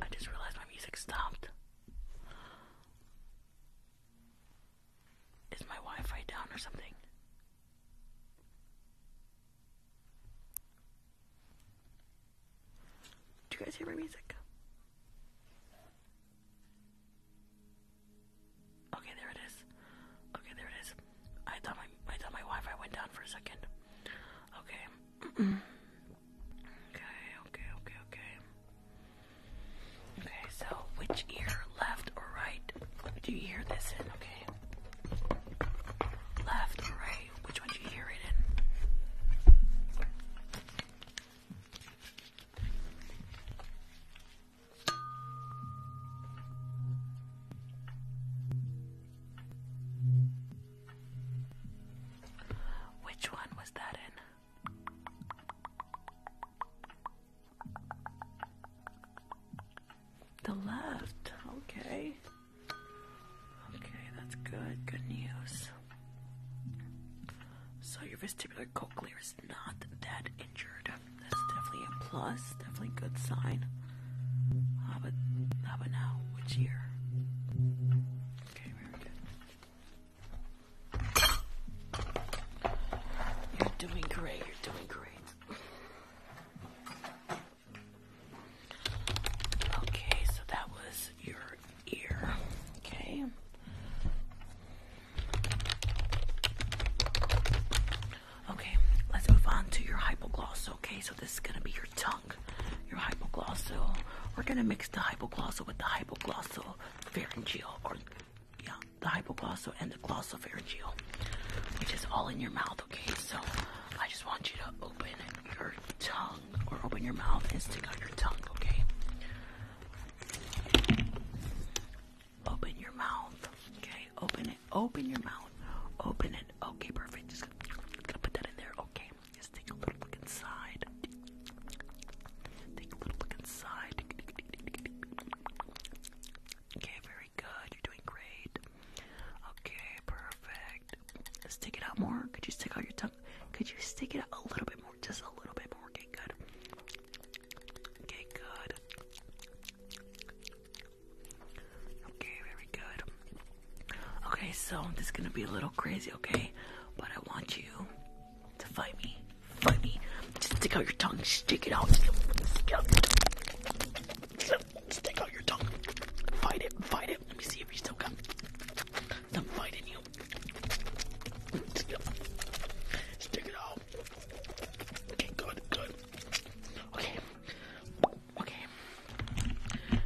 I just realized my music stopped. Is my Wi Fi down or something? Do you guys hear my music? Okay, there it is. Okay, there it is. I thought my I thought my Wi-Fi went down for a second. Okay. [clears throat] okay, okay, okay, okay. so which ear, left or right? Do you hear this Left or right? Which one do you hear it in? Which one was that in? The left. Okay. Okay, that's good. Good news. So your vestibular cochlear is not that injured. That's definitely a plus. Definitely good sign. How about, how about now? Which ear? Okay, very good. You're doing great. You're doing great. Okay, so that was your ear. Okay. Okay, let's move on to your hypoglossal. Okay, so this is going to be your tongue, your hypoglossal. We're going to mix the hypoglossal with the hypoglossal pharyngeal, or yeah, the hypoglossal and the glossopharyngeal, which is all in your mouth. Okay, so I just want you to open your tongue or open your mouth and stick out your tongue, okay? Open your mouth, okay? Open it, open your mouth, open it, okay, perfect. Just gonna put that in there, okay? Just take a little look inside. Take a little look inside. Okay, very good. You're doing great. Okay, perfect. Stick it out more. Could you stick out your tongue? Could you stick it out a little bit more? Just a little bit more. Okay, good. Okay, good. Okay, very good. Okay, so this is gonna be a little crazy, okay? But I want you to fight me. Fight me. Just stick out your tongue. Stick it out. Stick out your tongue. Fight it. Fight it. Let me see if you still got some fight in you. Stick it out. Okay, good, good. Okay. Okay.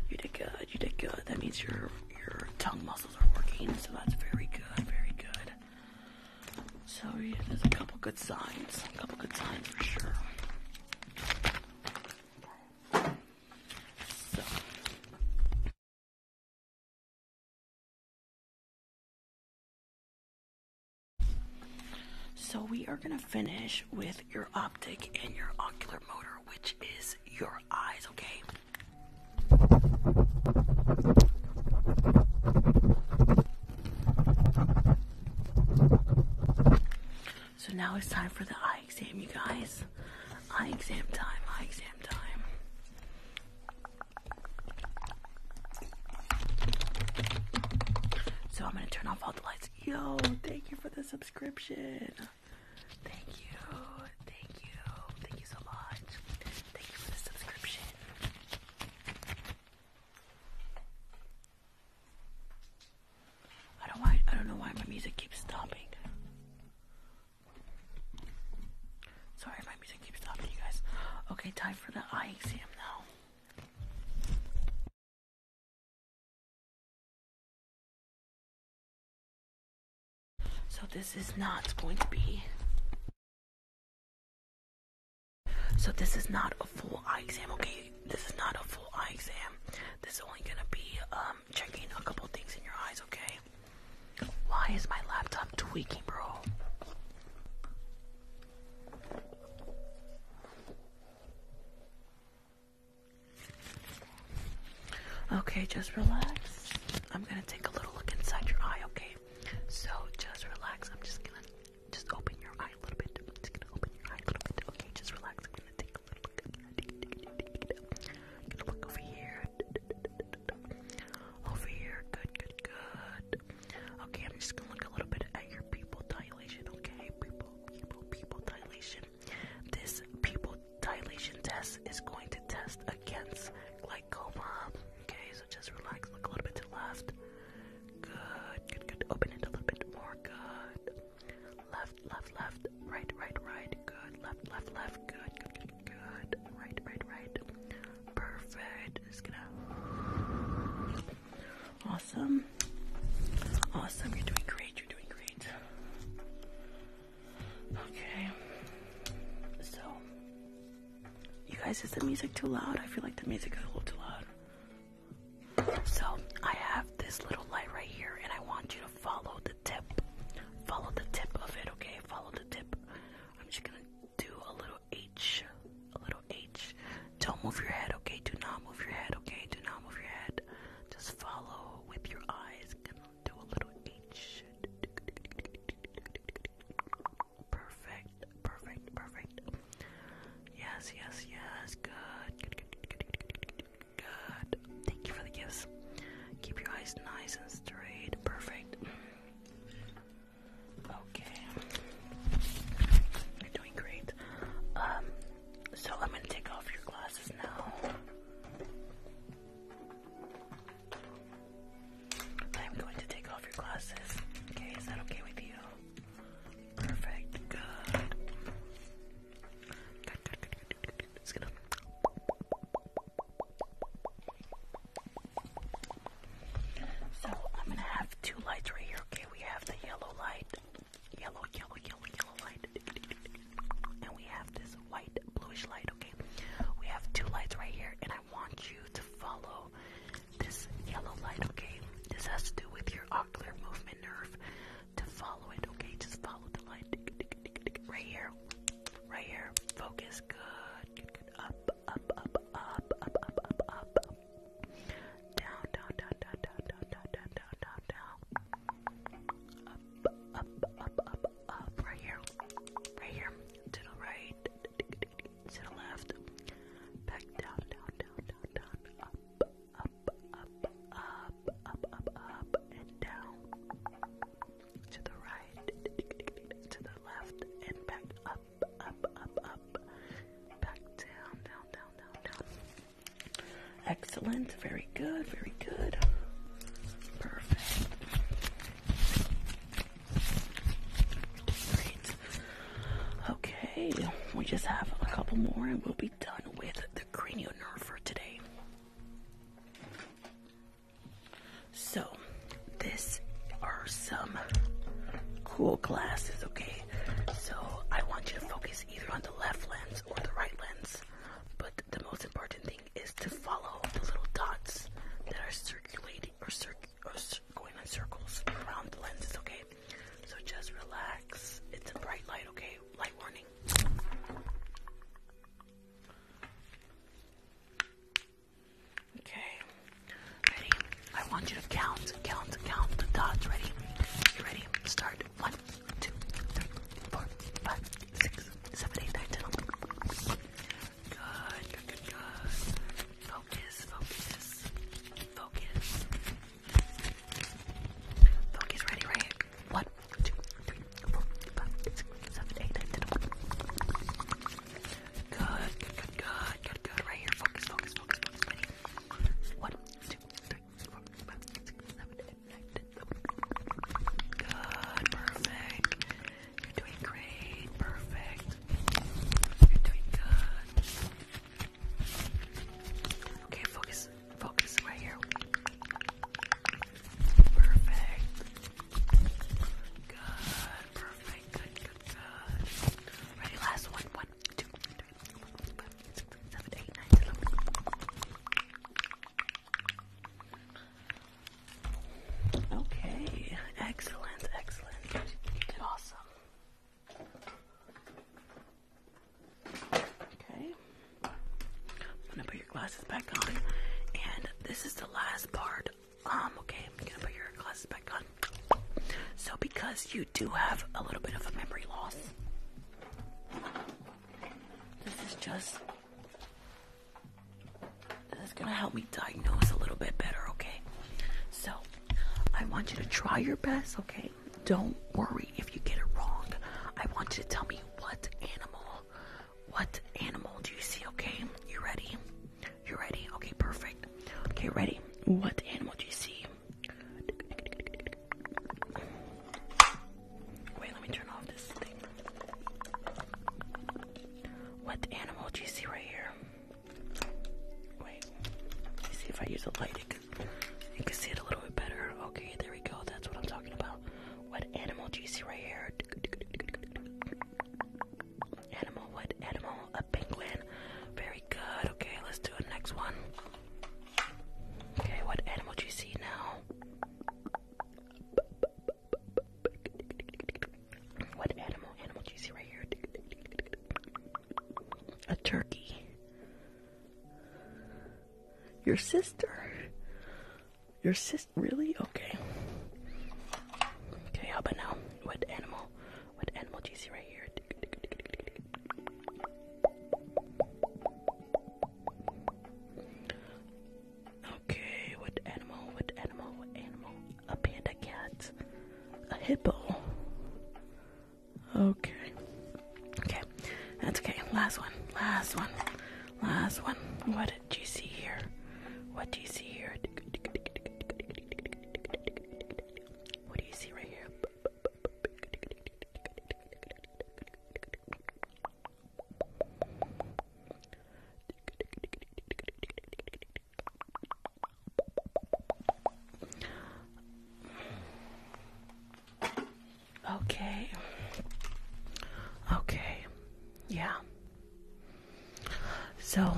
You did good. You did good. That means your your tongue muscles are working, so that's very good. Very good. So yeah, there's a couple good signs. A couple good signs for sure. So. we are going to finish with your optic and your ocular motor, which is your eyes, okay? So now it's time for the eye exam, you guys. Eye exam time, eye exam time. So I'm gonna turn off all the lights. Yo, thank you for the subscription. Thank you, thank you, thank you so much. Thank you for the subscription. I don't know why my music keeps stopping. Sorry, my music keeps stopping, you guys. Okay, time for the eye exam now. So this is not going to be. So this is not a full eye exam, okay? this is not a full eye exam. This is only gonna be um, checking a couple things in your eyes, okay? Why is my laptop tweaking, bro? Okay, just relax. I'm gonna take a little look inside your eye, okay? So just relax. I'm just gonna just open your eye a little bit. I'm just gonna open your eye a little bit. Okay, just relax. I'm gonna take I'm look over here. Over here. Good, good, good. Okay, I'm just gonna look a little bit at your people dilation, okay? people. People. People dilation. This people dilation test is going to test against glaucoma. Okay, so just relax, look a little bit to the left. Good, good, good. Open it a little bit more. Good. Left, left, left, right, right, right. Good. Left, left, left. Good, good, good, good. Right, right, right. Perfect. Just gonna. Awesome. Awesome. You're doing great. You're doing great. Okay. So, you guys, is the music too loud? I feel like the music is a little too loud. So I have this little light right here, and I want you to follow the tip. Follow the tip of it, okay? Follow the tip. I'm just gonna do a little H, a little H. Don't move your head, okay? Do not move your head, okay? Do not move your head. Just follow with your eyes. Gonna do a little H. Perfect, perfect, perfect. Yes, yes, yes. Good. good, good, good. Good. Thank you for the gifts. Keep your eyes nice and straight. Perfect. Okay. You're doing great. Um, so I'm gonna take off your glasses now. I'm going to take off your glasses. Okay, is that okay with you? Perfect. Good. It's gonna. So I'm gonna have two lights right here. Okay, we have the yellow light, yellow, yellow, yellow, yellow light, and we have this white, bluish light. Okay, we have two lights right here, and I want you to follow this yellow light. Okay, this has to do with your ocular movement nerve to follow it, okay? Just follow the line, Right here. Right here. Focus. Good. Up, up, up, up, up, up, up, up. down, down, down, down, down, down, down, down, down, down. Up, up, up, up, up. Right here. Right here. To the right. To the left. Back down, down, down, down, down. Up, up, up, up, up, up, up, and down, to the right, to the left, and back up, up, up, up, back down, down, down, down, down. Excellent, very good, very good. Perfect. Okay, we just have a couple more and we'll be done with the cranial nerve for today. So, this are some cool glasses, okay? So, I want you to focus either on the left lens or the right lens, but the most important thing is to follow the little dots that are circulating or, cir or going in circles around the lenses, okay? So, just relax. It's a bright light, okay? light warning. Okay. Ready? I want you to count, count, count the dots. Ready? You ready? Start. One, two, three, four, five, six, seven, eight, nine, ten. Good, good, good, good. Focus, focus, focus, Focus ready, right? One, two, three, four, five, six, seven, eight, nine, ten. Good, good, good, good, good, good. Right here. Focus, focus, focus, focus. Ready? One, two, three, four, five, six, seven, eight, nine, ten. Good, perfect. You're doing great. Perfect. You're doing good. Okay, focus. Focus right here. Perfect. Good. Perfect. Good. Good. Ready? Last one. One, two, three, four, five, six, seven, eight, nine, eleven. Okay. Excellent. Excellent. awesome. Okay. I'm gonna put your glasses back on. And this is the last part. Um, okay, I'm gonna put your glasses back on. So because you do have a little bit of a memory loss, this is just this is gonna help me diagnose a little bit better, okay? So I want you to try your best, okay? Don't worry if you get it wrong. I want you to tell me what animal, what animal do you see, okay? You ready? You ready? Okay, perfect. Okay, ready. What animal do you see? Wait, let me turn off this thing. What animal do you see right here? Wait, let me see if I use a light you can see it a little bit better. Okay, there we go. That's what I'm talking about. What animal do you see right here? Animal, what animal? A penguin. Very good. Okay, let's do the next one. Okay, what animal do you see now? What animal? Animal do you see right here? A turkey. Your sister? Your sis? Really? Okay. Okay, how about now? What animal? What animal do you see right here? Okay, what animal? What animal? animal? A panda cat? A hippo? Okay. Okay, that's okay. Last one, last one, last one. What do you see here? What do you see here? What do you see right here? Okay. Okay. Yeah. So,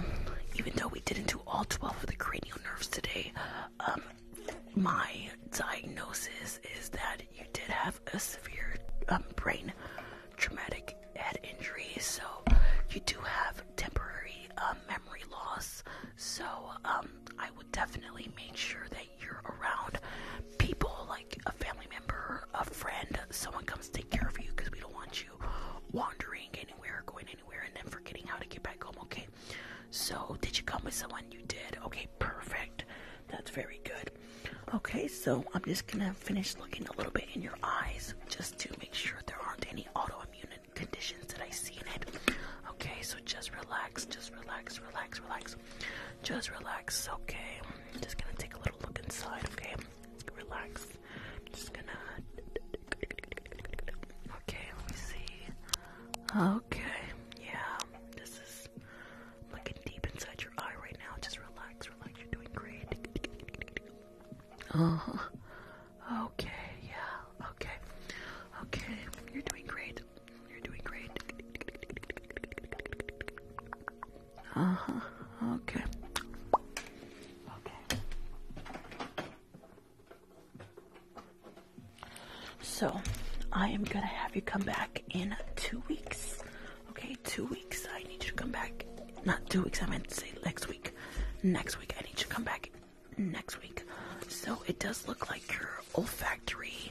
even though we didn't do all 12 of the cranial nerves today, um, my diagnosis is that you did have a severe um, brain traumatic head injury. So, you do have temporary um, memory loss. So, I would definitely make sure that you're around people like a family member, a friend, someone comes to take care of you because we don't want you wandering anywhere, going anywhere, and then forgetting how to get back home, okay? So, did you come with someone? You did. Okay, perfect. That's very good. Okay, so I'm just gonna finish looking a little bit in your eyes just to make sure there aren't any autoimmune conditions that I see in it. Okay, so just relax, just relax, relax, relax. Just relax, okay? just gonna take a little look inside, okay? Relax. just gonna. Okay, let me see. Okay, yeah, this is looking deep inside your eye right now. Just relax, relax. You're doing great. Uh huh. Okay, yeah, okay. Okay, you're doing great. You're doing great. Uh-huh. Okay. Okay. So, I am gonna have you come back in two weeks. Okay, two weeks. I need you to come back. Not two weeks. I meant to say next week. Next week. I need you to come back next week. So it does look like your olfactory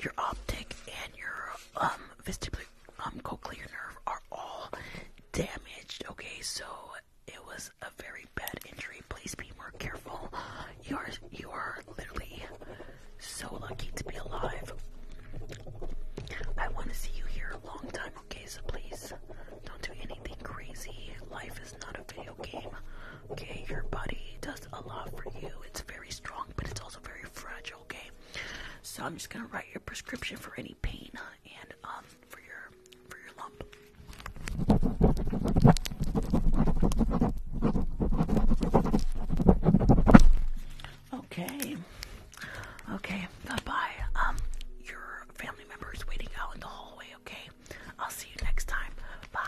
your optic and your um vestibular um cochlear nerve are all damaged. Okay, so it was a very bad injury. Please be more careful. You are you are literally so lucky to be alive. I want to see you here a long time. Okay, so please don't do anything crazy. Life is not a video game. Okay, your body does a lot for you. It's very strong, but it's also very fragile, okay? So I'm just gonna write your prescription for any pain and um, for your for your lump. Okay. Okay, bye Um your family members waiting out in the hallway, okay? I'll see you next time. Bye.